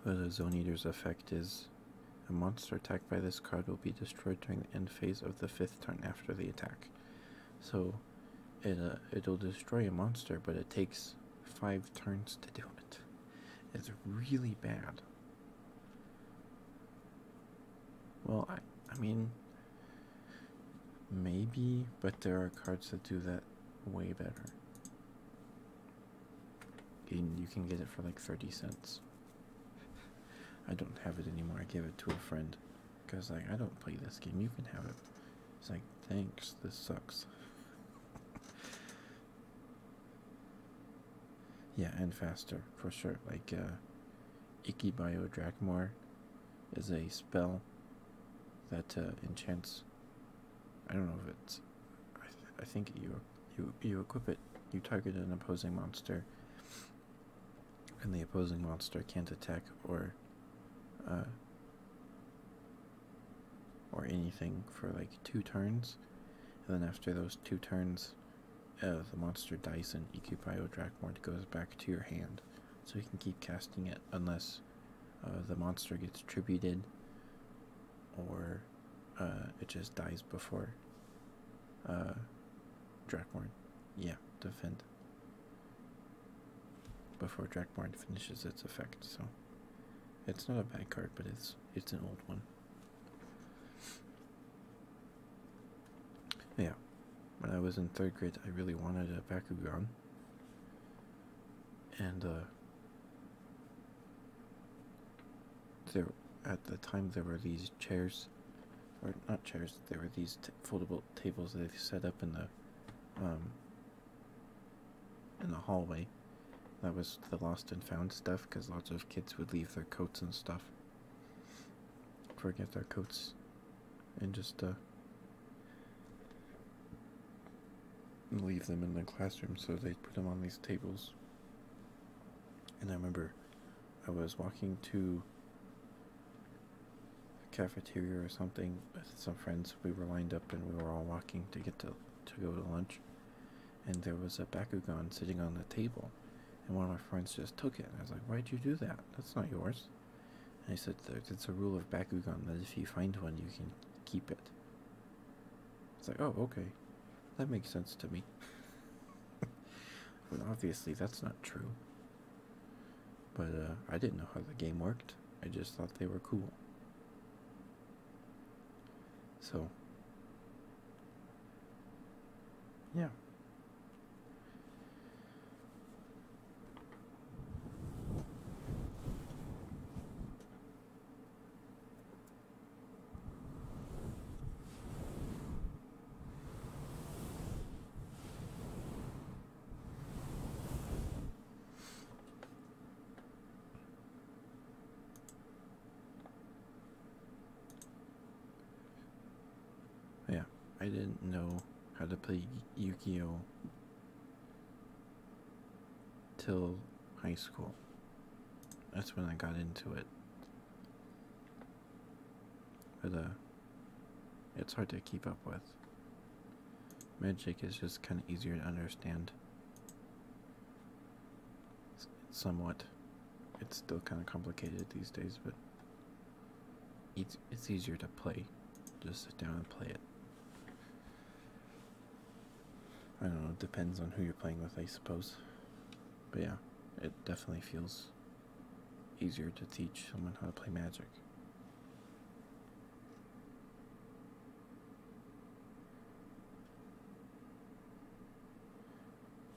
Well, the Zone Eater's effect is a monster attacked by this card will be destroyed during the end phase of the fifth turn after the attack. So it, uh, it'll destroy a monster, but it takes five turns to do it. It's really bad. Well, I, I mean, Maybe, but there are cards that do that way better. And you can get it for like 30 cents. I don't have it anymore. I gave it to a friend. Because, like, I don't play this game. You can have it. It's like, thanks. This sucks. [LAUGHS] yeah, and faster, for sure. Like, uh, Ikibayo Drachmor is a spell that uh, enchants. I don't know if it's. I, I think you you you equip it. You target an opposing monster, and the opposing monster can't attack or. Uh, or anything for like two turns, and then after those two turns, uh, the monster dies and Ikibayo Drachmort goes back to your hand so you can keep casting it unless uh, the monster gets tributed or uh, it just dies before uh, Dracorn. Yeah, defend. Before Dracorn finishes its effect, so it's not a bad card, but it's it's an old one. Yeah, when I was in third grade, I really wanted a Bakugan, and uh, there at the time there were these chairs or not chairs there were these foldable tables that they set up in the um, in the hallway that was the lost and found stuff because lots of kids would leave their coats and stuff forget their coats and just uh, and leave them in the classroom, so they put them on these tables. And I remember I was walking to the cafeteria or something with some friends. We were lined up and we were all walking to get to, to go to lunch. And there was a Bakugan sitting on the table. And one of my friends just took it. I was like, Why'd you do that? That's not yours. I said, Look, it's a rule of Bakugan that if you find one, you can keep it. It's like, oh, okay. That makes sense to me. [LAUGHS] but obviously, that's not true. But uh, I didn't know how the game worked, I just thought they were cool. So, yeah. Yeah, I didn't know how to play Yukio till high school. That's when I got into it. But uh it's hard to keep up with. Magic is just kind of easier to understand. somewhat. It's still kind of complicated these days, but each it's, easier to play. Just sit down and play it. I don't know, it depends on who you're playing with, I suppose. But yeah, it definitely feels easier to teach someone how to play magic.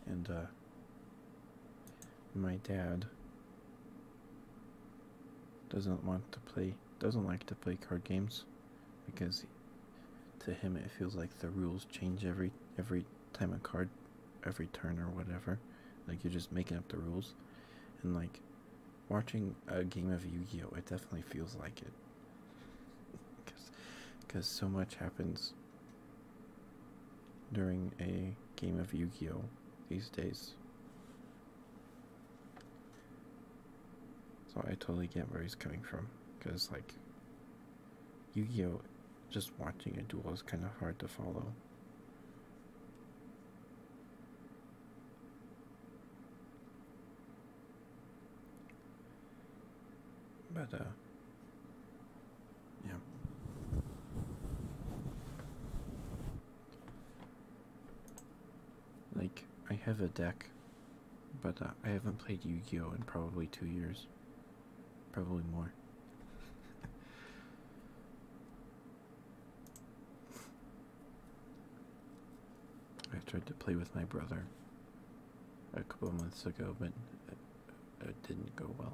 And uh my dad doesn't want to play doesn't like to play card games because to him it feels like the rules change every every time a card every turn or whatever like you're just making up the rules and like watching a game of Yu-Gi-Oh it definitely feels like it because because so much happens during a game of Yu-Gi-Oh these days so I totally get where he's coming from, because like Yu-Gi-Oh, just watching a duel is kind of hard to follow. But uh, yeah. Like, I have a deck, but uh, I haven't played Yu Gi Oh! in probably two years. Probably more. I tried to play with my brother a couple months ago, but it didn't go well.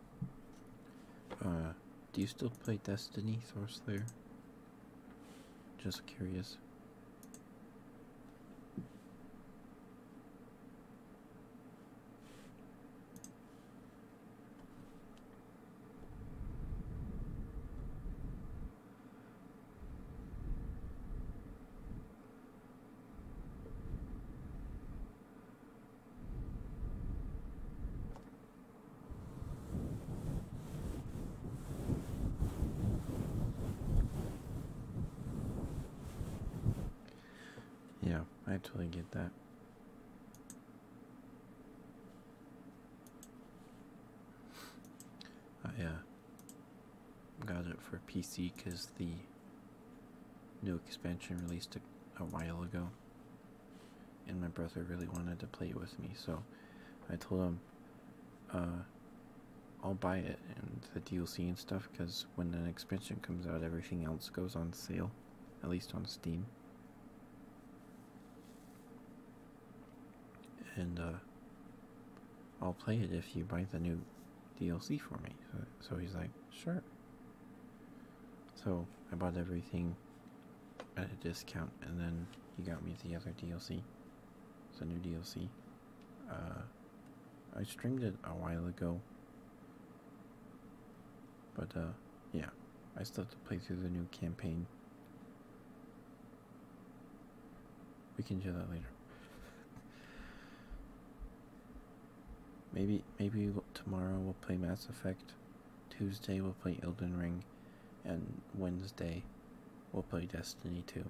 Uh, do you still play Destiny, Sorcerer? Just curious. Yeah, I totally get that. I uh, got it for PC because the new expansion released a while ago and my brother really wanted to play with me, so I told him, uh, I'll buy it and the DLC and stuff because when an expansion comes out, everything else goes on sale, at least on Steam. And uh, I'll play it if you buy the new DLC for me. so he's like, sure. So I bought everything at a discount, and then he got me the other DLC. It's a new DLC. Uh, I streamed it a while ago, but uh, yeah, I still have to play through the new campaign. We can do that later. Maybe maybe tomorrow we'll play Mass Effect, Tuesday we'll play Elden Ring, and Wednesday we'll play Destiny 2.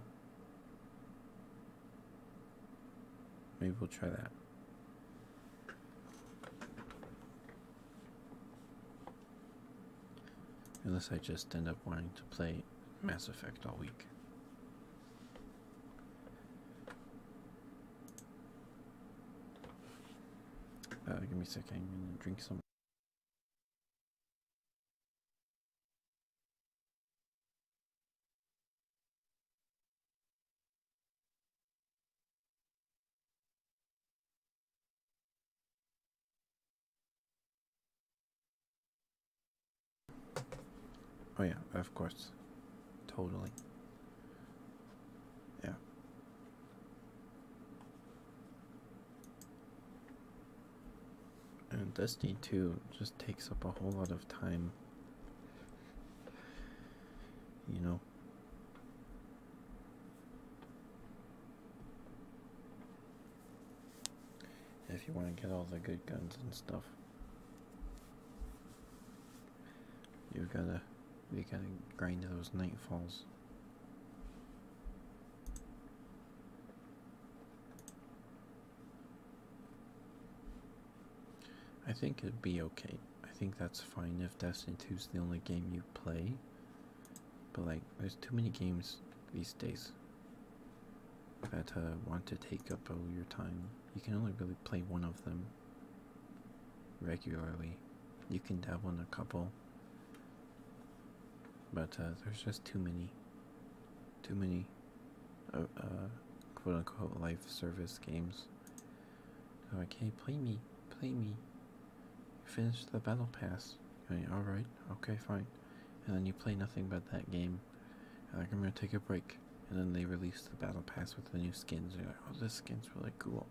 Maybe we'll try that. Unless I just end up wanting to play Mass Effect all week. Uh, give me a second, I'm gonna drink some. Oh yeah, of course. Totally. Yeah. And Dusty too just takes up a whole lot of time. You know? If you want to get all the good guns and stuff. You are going to you going to grind those nightfalls. I think it'd be okay. I think that's fine if Destiny 2 is the only game you play. But like, there's too many games these days that uh, want to take up all your time. You can only really play one of them regularly. You can dabble in a couple, but uh, there's just too many, too many, uh, uh quote unquote life service games. Oh, okay, play me, play me. You finished the battle pass. all right, okay, fine. And then you play nothing but that game. like I'm gonna take a break. And then they release the battle pass with the new skins. oh, this skin's really cool.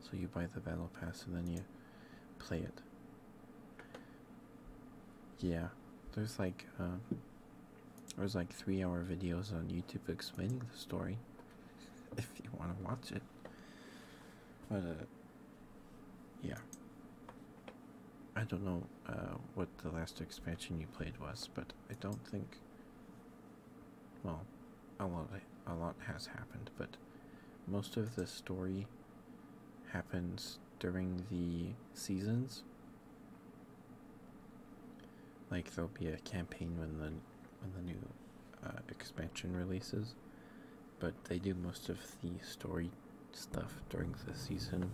So you buy the battle pass and then you play it. Yeah, there's like um, there's like three hour videos on YouTube explaining the story. [LAUGHS] If you want to watch it, but uh, yeah, I don't know uh, what the last expansion you played was, but I don't think. Well, a lot a lot has happened, but most of the story happens during the seasons. Like there'll be a campaign when the when the new uh, expansion releases, but they do most of the story stuff during the season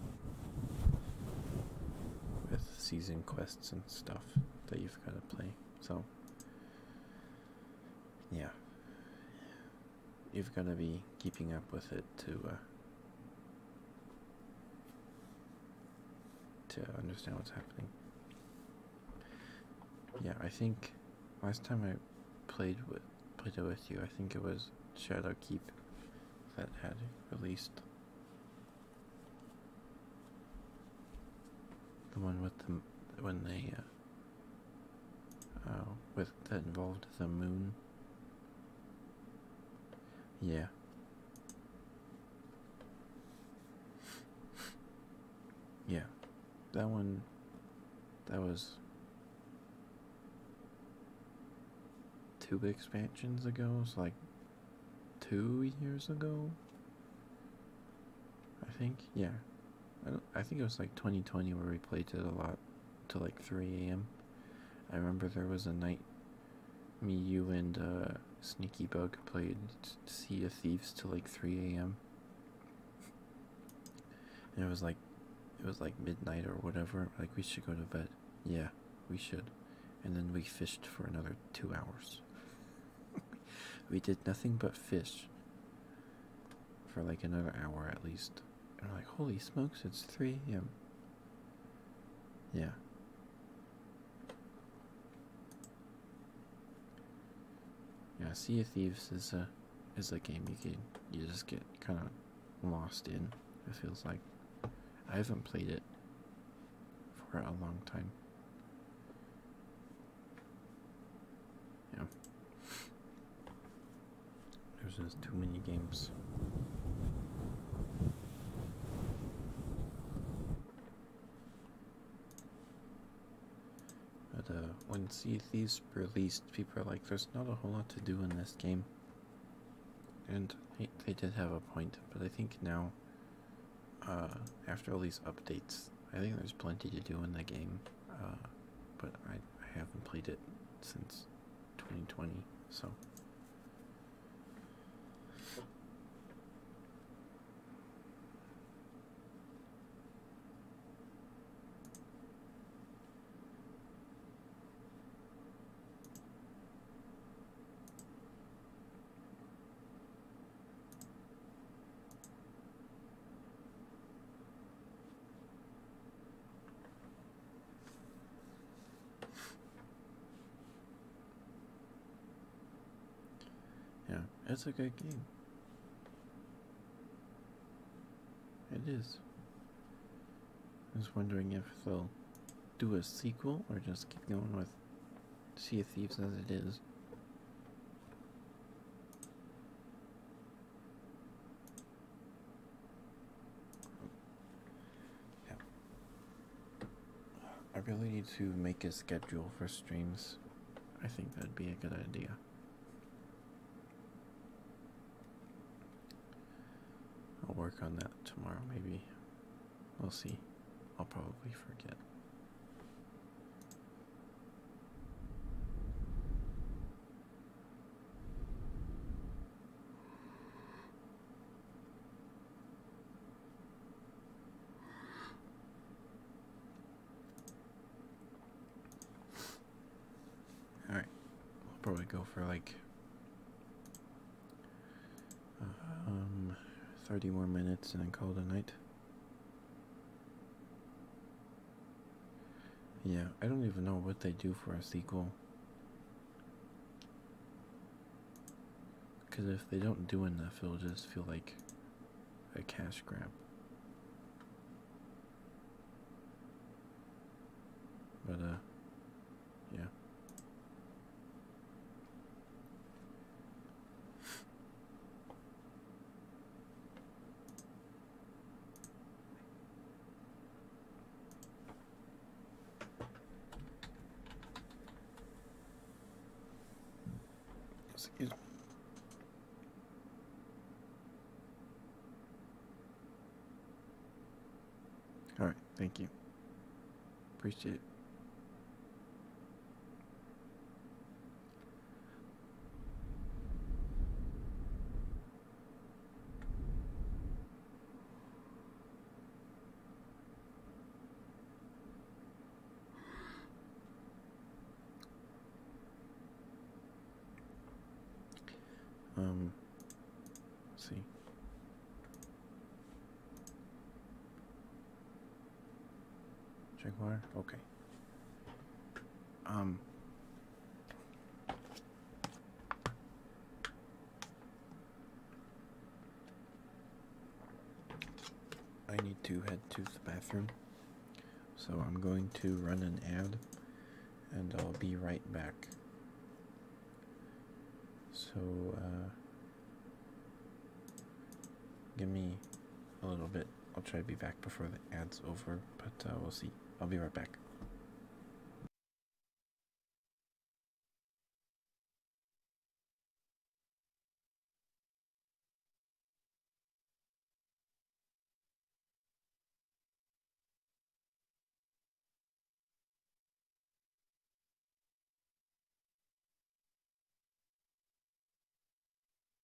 with season quests and stuff that you've got to play. So yeah you've got to be keeping up with it to uh, to understand what's happening yeah i think last time i played with played it with you i think it was shadow keep that had released the one with the when they uh, uh with that involved the moon. Yeah. yeah. That one that was two expansions ago, it's like two years ago. I think, yeah. I, I think it was like 2020 where we played it a lot till like 3 a.m. I remember there was a night me, you, and uh, Sneaky Bug played Sea of Thieves till like 3 a.m. And it was like, it was like midnight or whatever. Like, we should go to bed. Yeah, we should. And then we fished for another two hours we did nothing but fish for like another hour at least. And like, holy smokes, it's 3 a.m. Yeah. Yeah, Sea of Thieves is a is a game you can you just get kind of lost in. It feels like I haven't played it for a long time. Yeah. There's just too many games. But uh, when Sea of released, people are like, there's not a whole lot to do in this game. And they did have a point, but I think now uh, after all these updates, I think there's plenty to do in the game, uh, but I, I haven't played it since 2020, so. Yeah, it's a good game. It is. I was wondering if they'll do a sequel or just keep going with Sea of Thieves as it is. Yeah. I really need to make a schedule for streams. I think that'd be a good idea. I'll work on that tomorrow, maybe. We'll see. I'll probably forget. All right, we'll probably go for like um, 30 more minutes and then call it a night. Yeah, I don't even know what they do for a sequel. Because if they don't do enough, it'll just feel like a cash grab. But, uh, yeah. Excuse All right, thank you. Appreciate it. Um, see. Jaguar? Okay. Um. I need to head to the bathroom, so I'm going to run an ad and I'll be right back. So, uh, give me a little bit. I'll try to be back before the ad's over, but uh, we'll see. I'll be right back.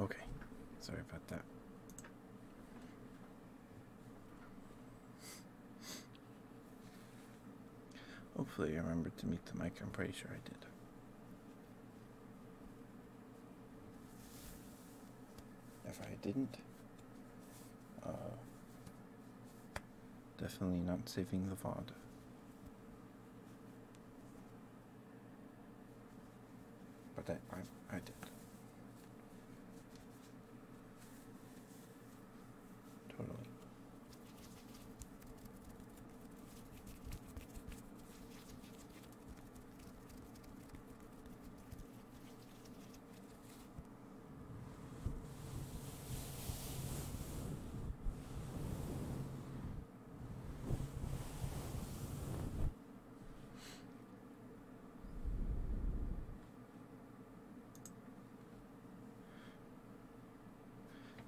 Okay, sorry about that. Hopefully, I remembered to meet the mic. I'm pretty sure I did if I didn't. Uh, definitely not saving the VOD. But I, I, I did. Totally.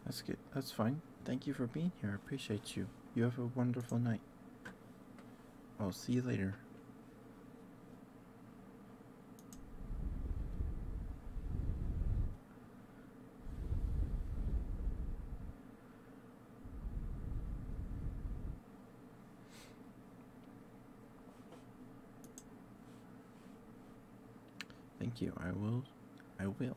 That's good. That's fine. Thank you for being here. appreciate you. You have a wonderful night. I'll see you later. Thank you. I will. I will.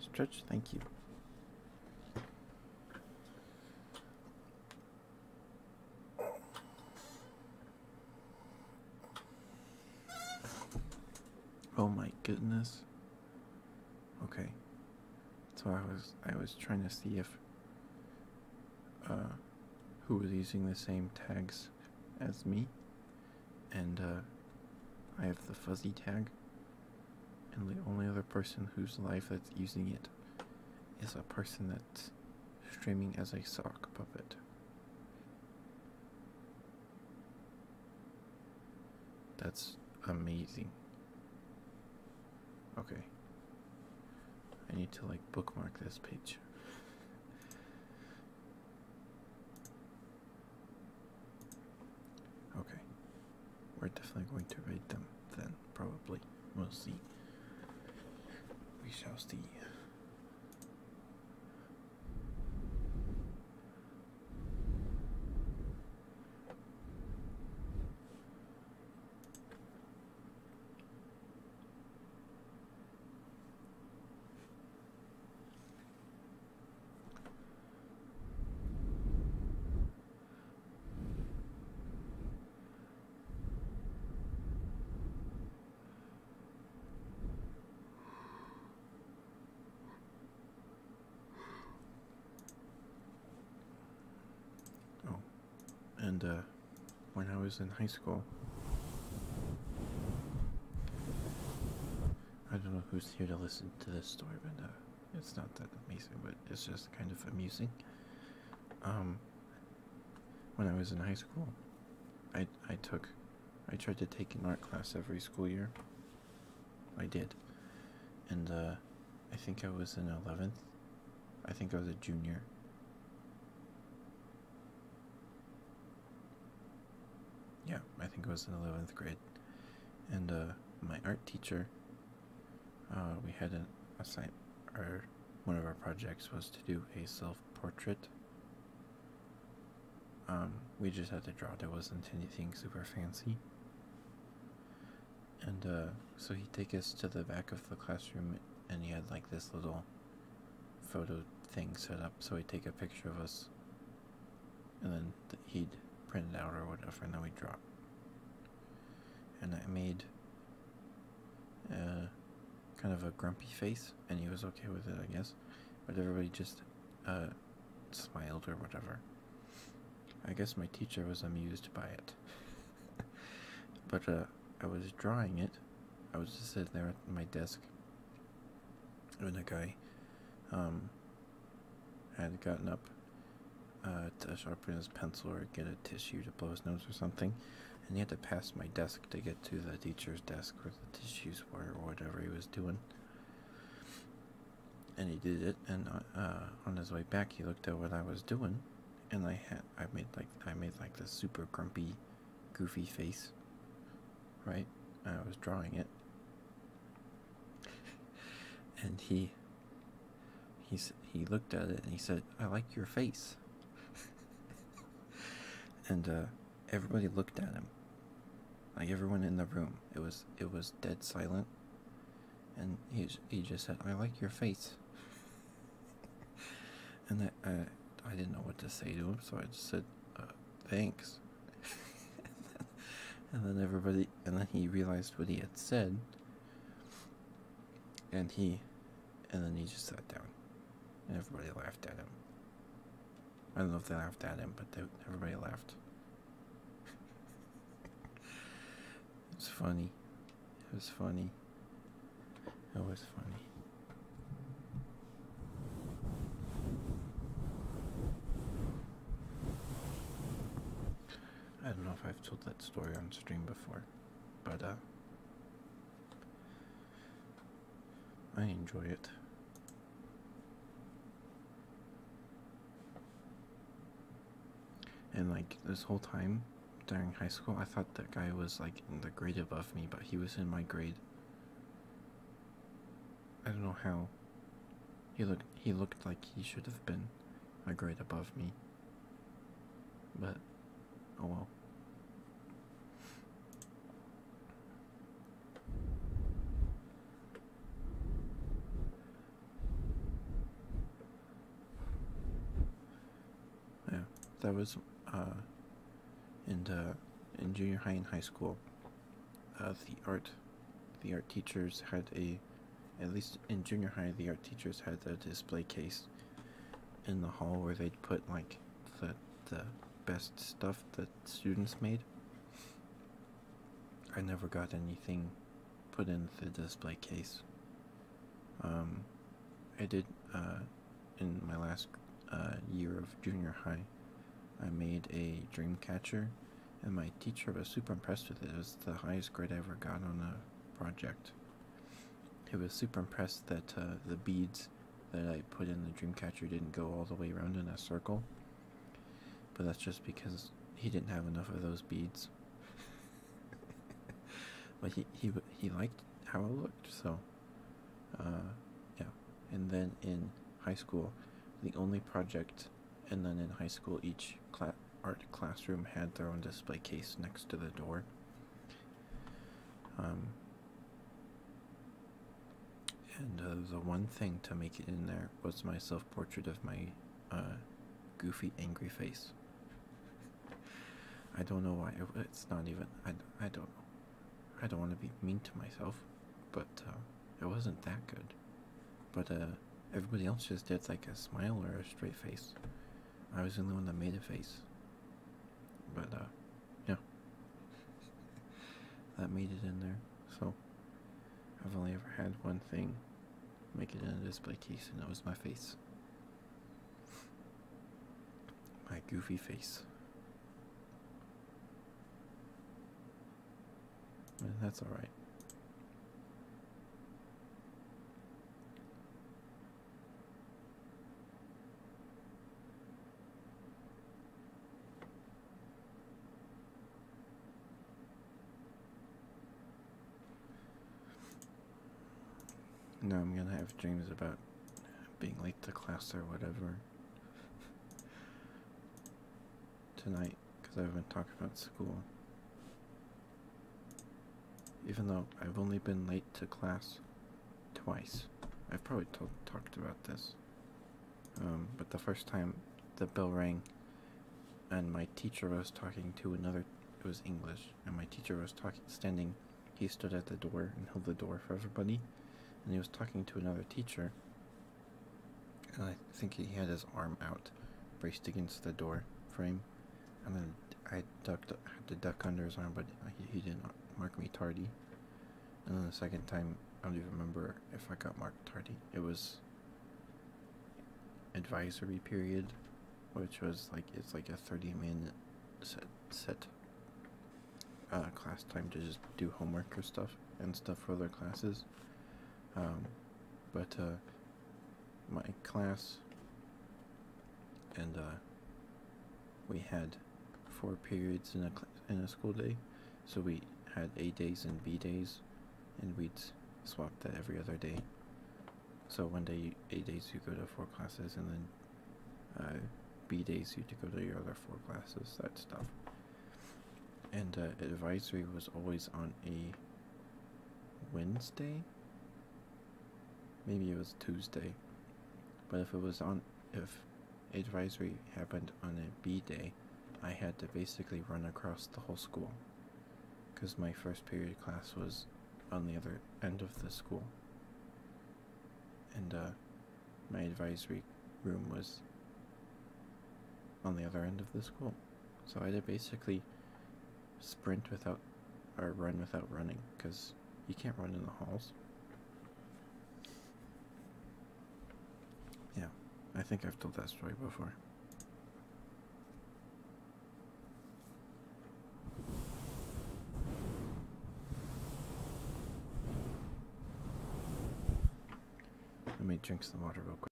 Stretch, thank you. Oh my goodness. Okay. So I was I was trying to see if uh who was using the same tags as me and uh, I have the fuzzy tag, and the only other person whose life that's using it is a person that's streaming as a sock puppet. That's amazing. Okay. I need to like bookmark this page. Okay, we're definitely going to raid them then, probably. We'll see. We shall see. Oh, and uh, when I was in high school, I don't know who's here to listen to this story, but uh, it's not that amazing, but it's just kind of amusing. Um, when I was in high school, I I took, I tried to take an art class every school year. I did, and uh, I think I was in eleventh. I think I was a junior. Yeah, I think it was in 11th grade. And uh, my art teacher, uh, we had an assignment, or one of our projects was to do a self portrait. Um, we just had to draw, there wasn't anything super fancy. And uh, so he'd take us to the back of the classroom, and he had like this little photo thing set up so he'd take a picture of us and then he'd print it out or whatever and then we'd draw and I made uh, kind of a grumpy face and he was okay with it I guess but everybody just uh, smiled or whatever I guess my teacher was amused by it [LAUGHS] but uh, I was drawing it I was just sitting there at my desk when a guy um, had gotten up uh, to sharpen his pencil or get a tissue to blow his nose or something, and he had to pass my desk to get to the teacher's desk where the tissues were or whatever he was doing. And he did it, and uh, uh, on his way back, he looked at what I was doing, and I had I made like I made like the super grumpy, goofy face, right? I was drawing it, and he he he looked at it and he said, "I like your face," [LAUGHS] and uh, everybody looked at him, like everyone in the room. It was it was dead silent, and he he just said, "I like your face," [LAUGHS] and I, I didn't know what to say to him, so I just said, uh, "Thanks." and then everybody, and then he realized what he had said, and he, and then he just sat down, and everybody laughed at him. I don't know if they laughed at him, but everybody laughed. [LAUGHS] it was funny. It was funny. It was funny. I don't know if I've told that story on stream before, but uh, I enjoy it. And like this whole time during high school, I thought that guy was like in the grade above me, but he was in my grade. I don't know how. He looked he looked like he should have been a grade above me. But oh well. Yeah, that was uh and in junior high and high school, uh, the art, the art teachers had a, at least in junior high, the art teachers had a display case in the hall where they'd put like the the best stuff that students made. I never got anything put in the display case. Um, I did uh, in my last uh, year of junior high. I made a dream catcher, and my teacher was super impressed with it. It was the highest grade I ever got on a project. He was super impressed that uh, the beads that I put in the dream catcher didn't go all the way around in a circle, but that's just because he didn't have enough of those beads. [LAUGHS] but he he he liked how it looked, so uh, yeah, and then in high school, the only project, and then in high school, each cla art classroom had their own display case next to the door. Um, and uh, the one thing to make it in there was my self portrait of my uh, goofy, angry face. [LAUGHS] I don't know why. It's not even. I, I don't know. I don't want to be mean to myself, but uh, it wasn't that good. But uh, everybody else just did like a smile or a straight face. I was the only one that made a face. But uh, yeah, [LAUGHS] that made it in there. So I've only ever had one thing make it in a display case, and that was my face. My goofy face. That's all right. No, I'm gonna have dreams about being late to class or whatever. [LAUGHS] tonight because I've been talking about school. Even though I've only been late to class twice. I've probably talked about this. Um, but the first time the bell rang and my teacher was talking to another, it was English, and my teacher was talking, standing, he stood at the door and held the door for everybody, and he was talking to another teacher, and I think he had his arm out, braced against the door frame. And then I ducked, had to duck under his arm, but he, didn't mark me tardy. And then the second time, I don't even remember if I got marked tardy. It was advisory period, which was like it's like a 30 minute set set uh, class time to just do homework or stuff and stuff for other classes. Um, but uh, my class and uh, we had four periods in a in a school day, so we had A days and B days, and we'd swap that every other day. So one day A days you go to four classes, and then uh, B days you to go to your other four classes. That stuff and uh, advisory was always on a Wednesday. Maybe it was Tuesday, but if it was on if advisory happened on a B day, I had to basically run across the whole school because my first period class was on the other end of the school. And uh, my advisory room was on the other end of the school. So I had to basically sprint without, or run without running, because you can't run in the halls. Yeah, I think I've told that story before. Let me drink some water real quick.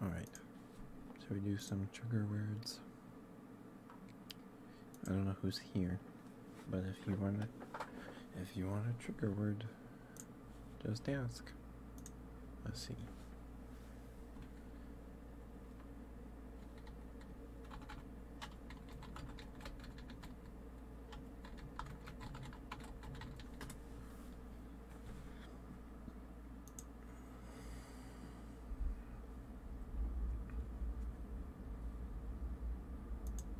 Alright, so we do some trigger words. I don't know who's here, but if you wanna, if you want a trigger word, just ask. Let's see.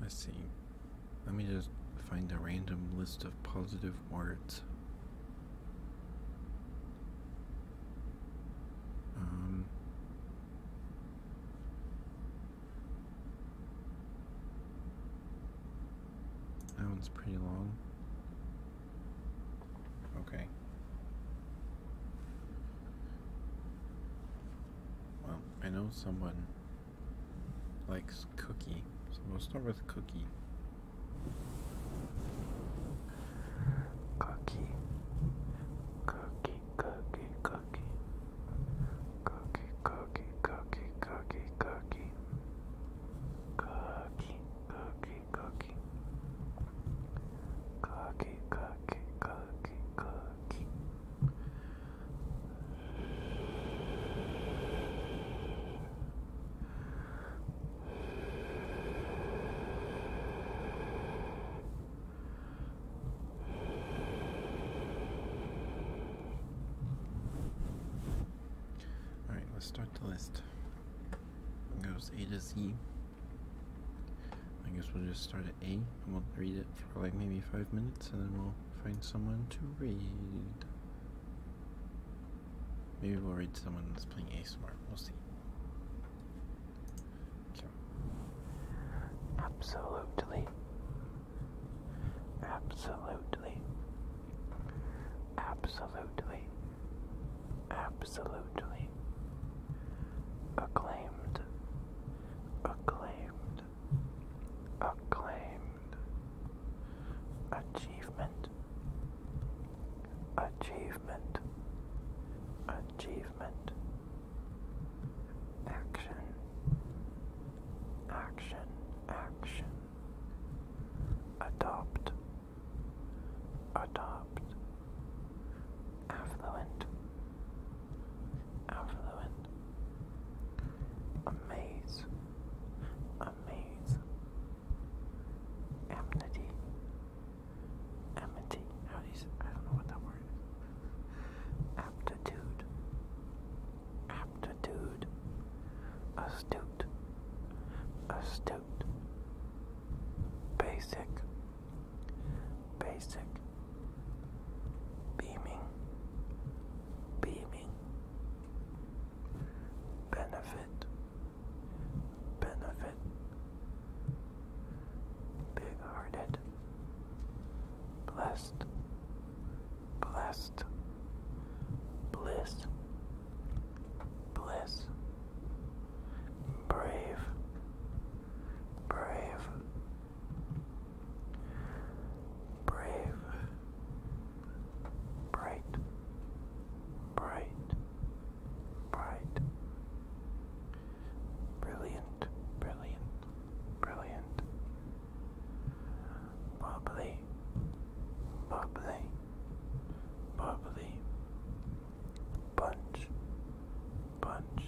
Let's see. Let me just find a random list of positive words. Um, that one's pretty long. Okay. Well, I know someone likes cookie. So we'll start with cookie. Cookie. Cookie, cookie, cookie. Cookie, cookie, cookie, cookie, cookie. Cookie, cookie, cookie. Cookie, cookie, cookie, cookie. Alright, let's start the list. goes A to Z. I guess we'll just start at A. we I read it for like maybe five minutes and then we'll find someone to read. Maybe we'll read someone that's playing ASMR. We'll see. Absolutely. Absolutely. Absolutely. Absolutely. Acclaimed. Acclaimed acclaimed, achievement, achievement, achievement, action, action, action, adopt, adopt, affluent, affluent. Amaze, amaze, A maze. Amity. Amity. How do you say? I don't know what that word Aptitude. Aptitude. Astute. Astute. Basic. Basic. Beaming. Beaming benefit, benefit, big hearted, blessed, blessed, bliss, bliss, brave, brave brave, bright, bright, bright, brilliant, brilliant, brilliant, bubbly, bubbly, bubbly, bunch, bunch.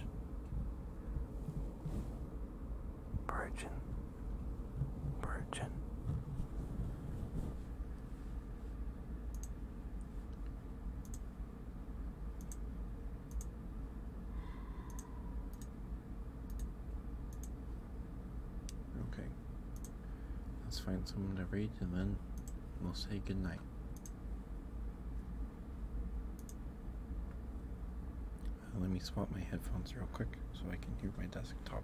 Virgin, Virgin. Okay. Let's find someone to read and then we'll say goodnight let me swap my headphones real quick so I can hear my desktop.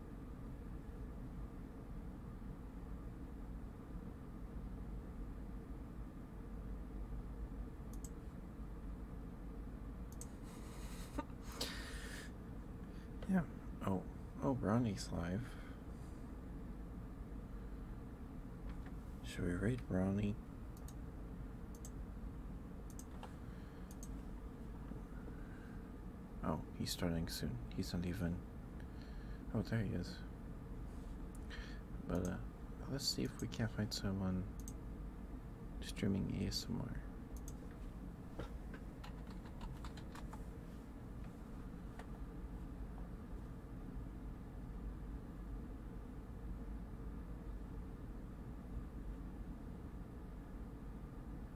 [LAUGHS] yeah. Oh, oh, Ronnie's live. Shall we read, Ronnie? Oh, he's starting soon. He's not even. Oh, there he is. But uh, let's see if we can't find someone streaming ASMR.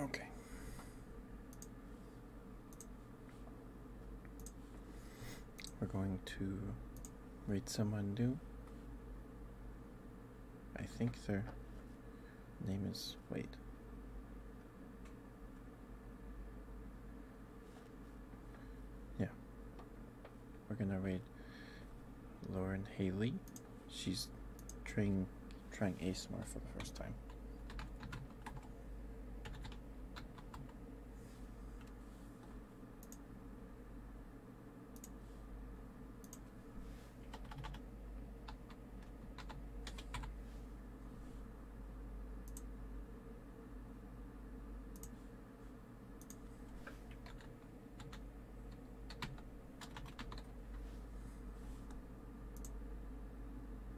Okay. We're going to read someone new. I think their name is. Wait. Yeah. We're going to read Lauren Haley she's trying trying ASMR for the first time.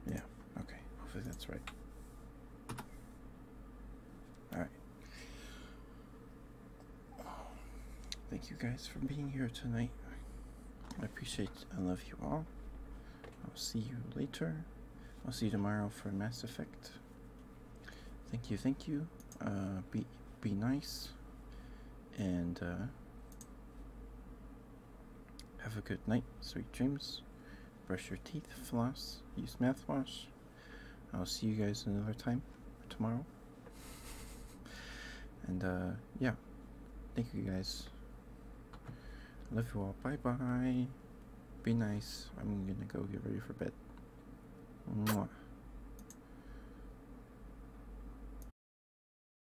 Yeah, okay. Hopefully that's right. Alright. Thank you guys for being here tonight. I appreciate I love you all. I'll see you later. I'll see you tomorrow for Mass Effect. Thank you, thank you. Uh, be be nice, and uh, have a good night, sweet dreams. Brush your teeth, floss, use mouthwash. I'll see you guys another time tomorrow. And uh, yeah, thank you guys. Love you all. Bye bye. Be nice. I'm gonna go get ready for bed. Mwah.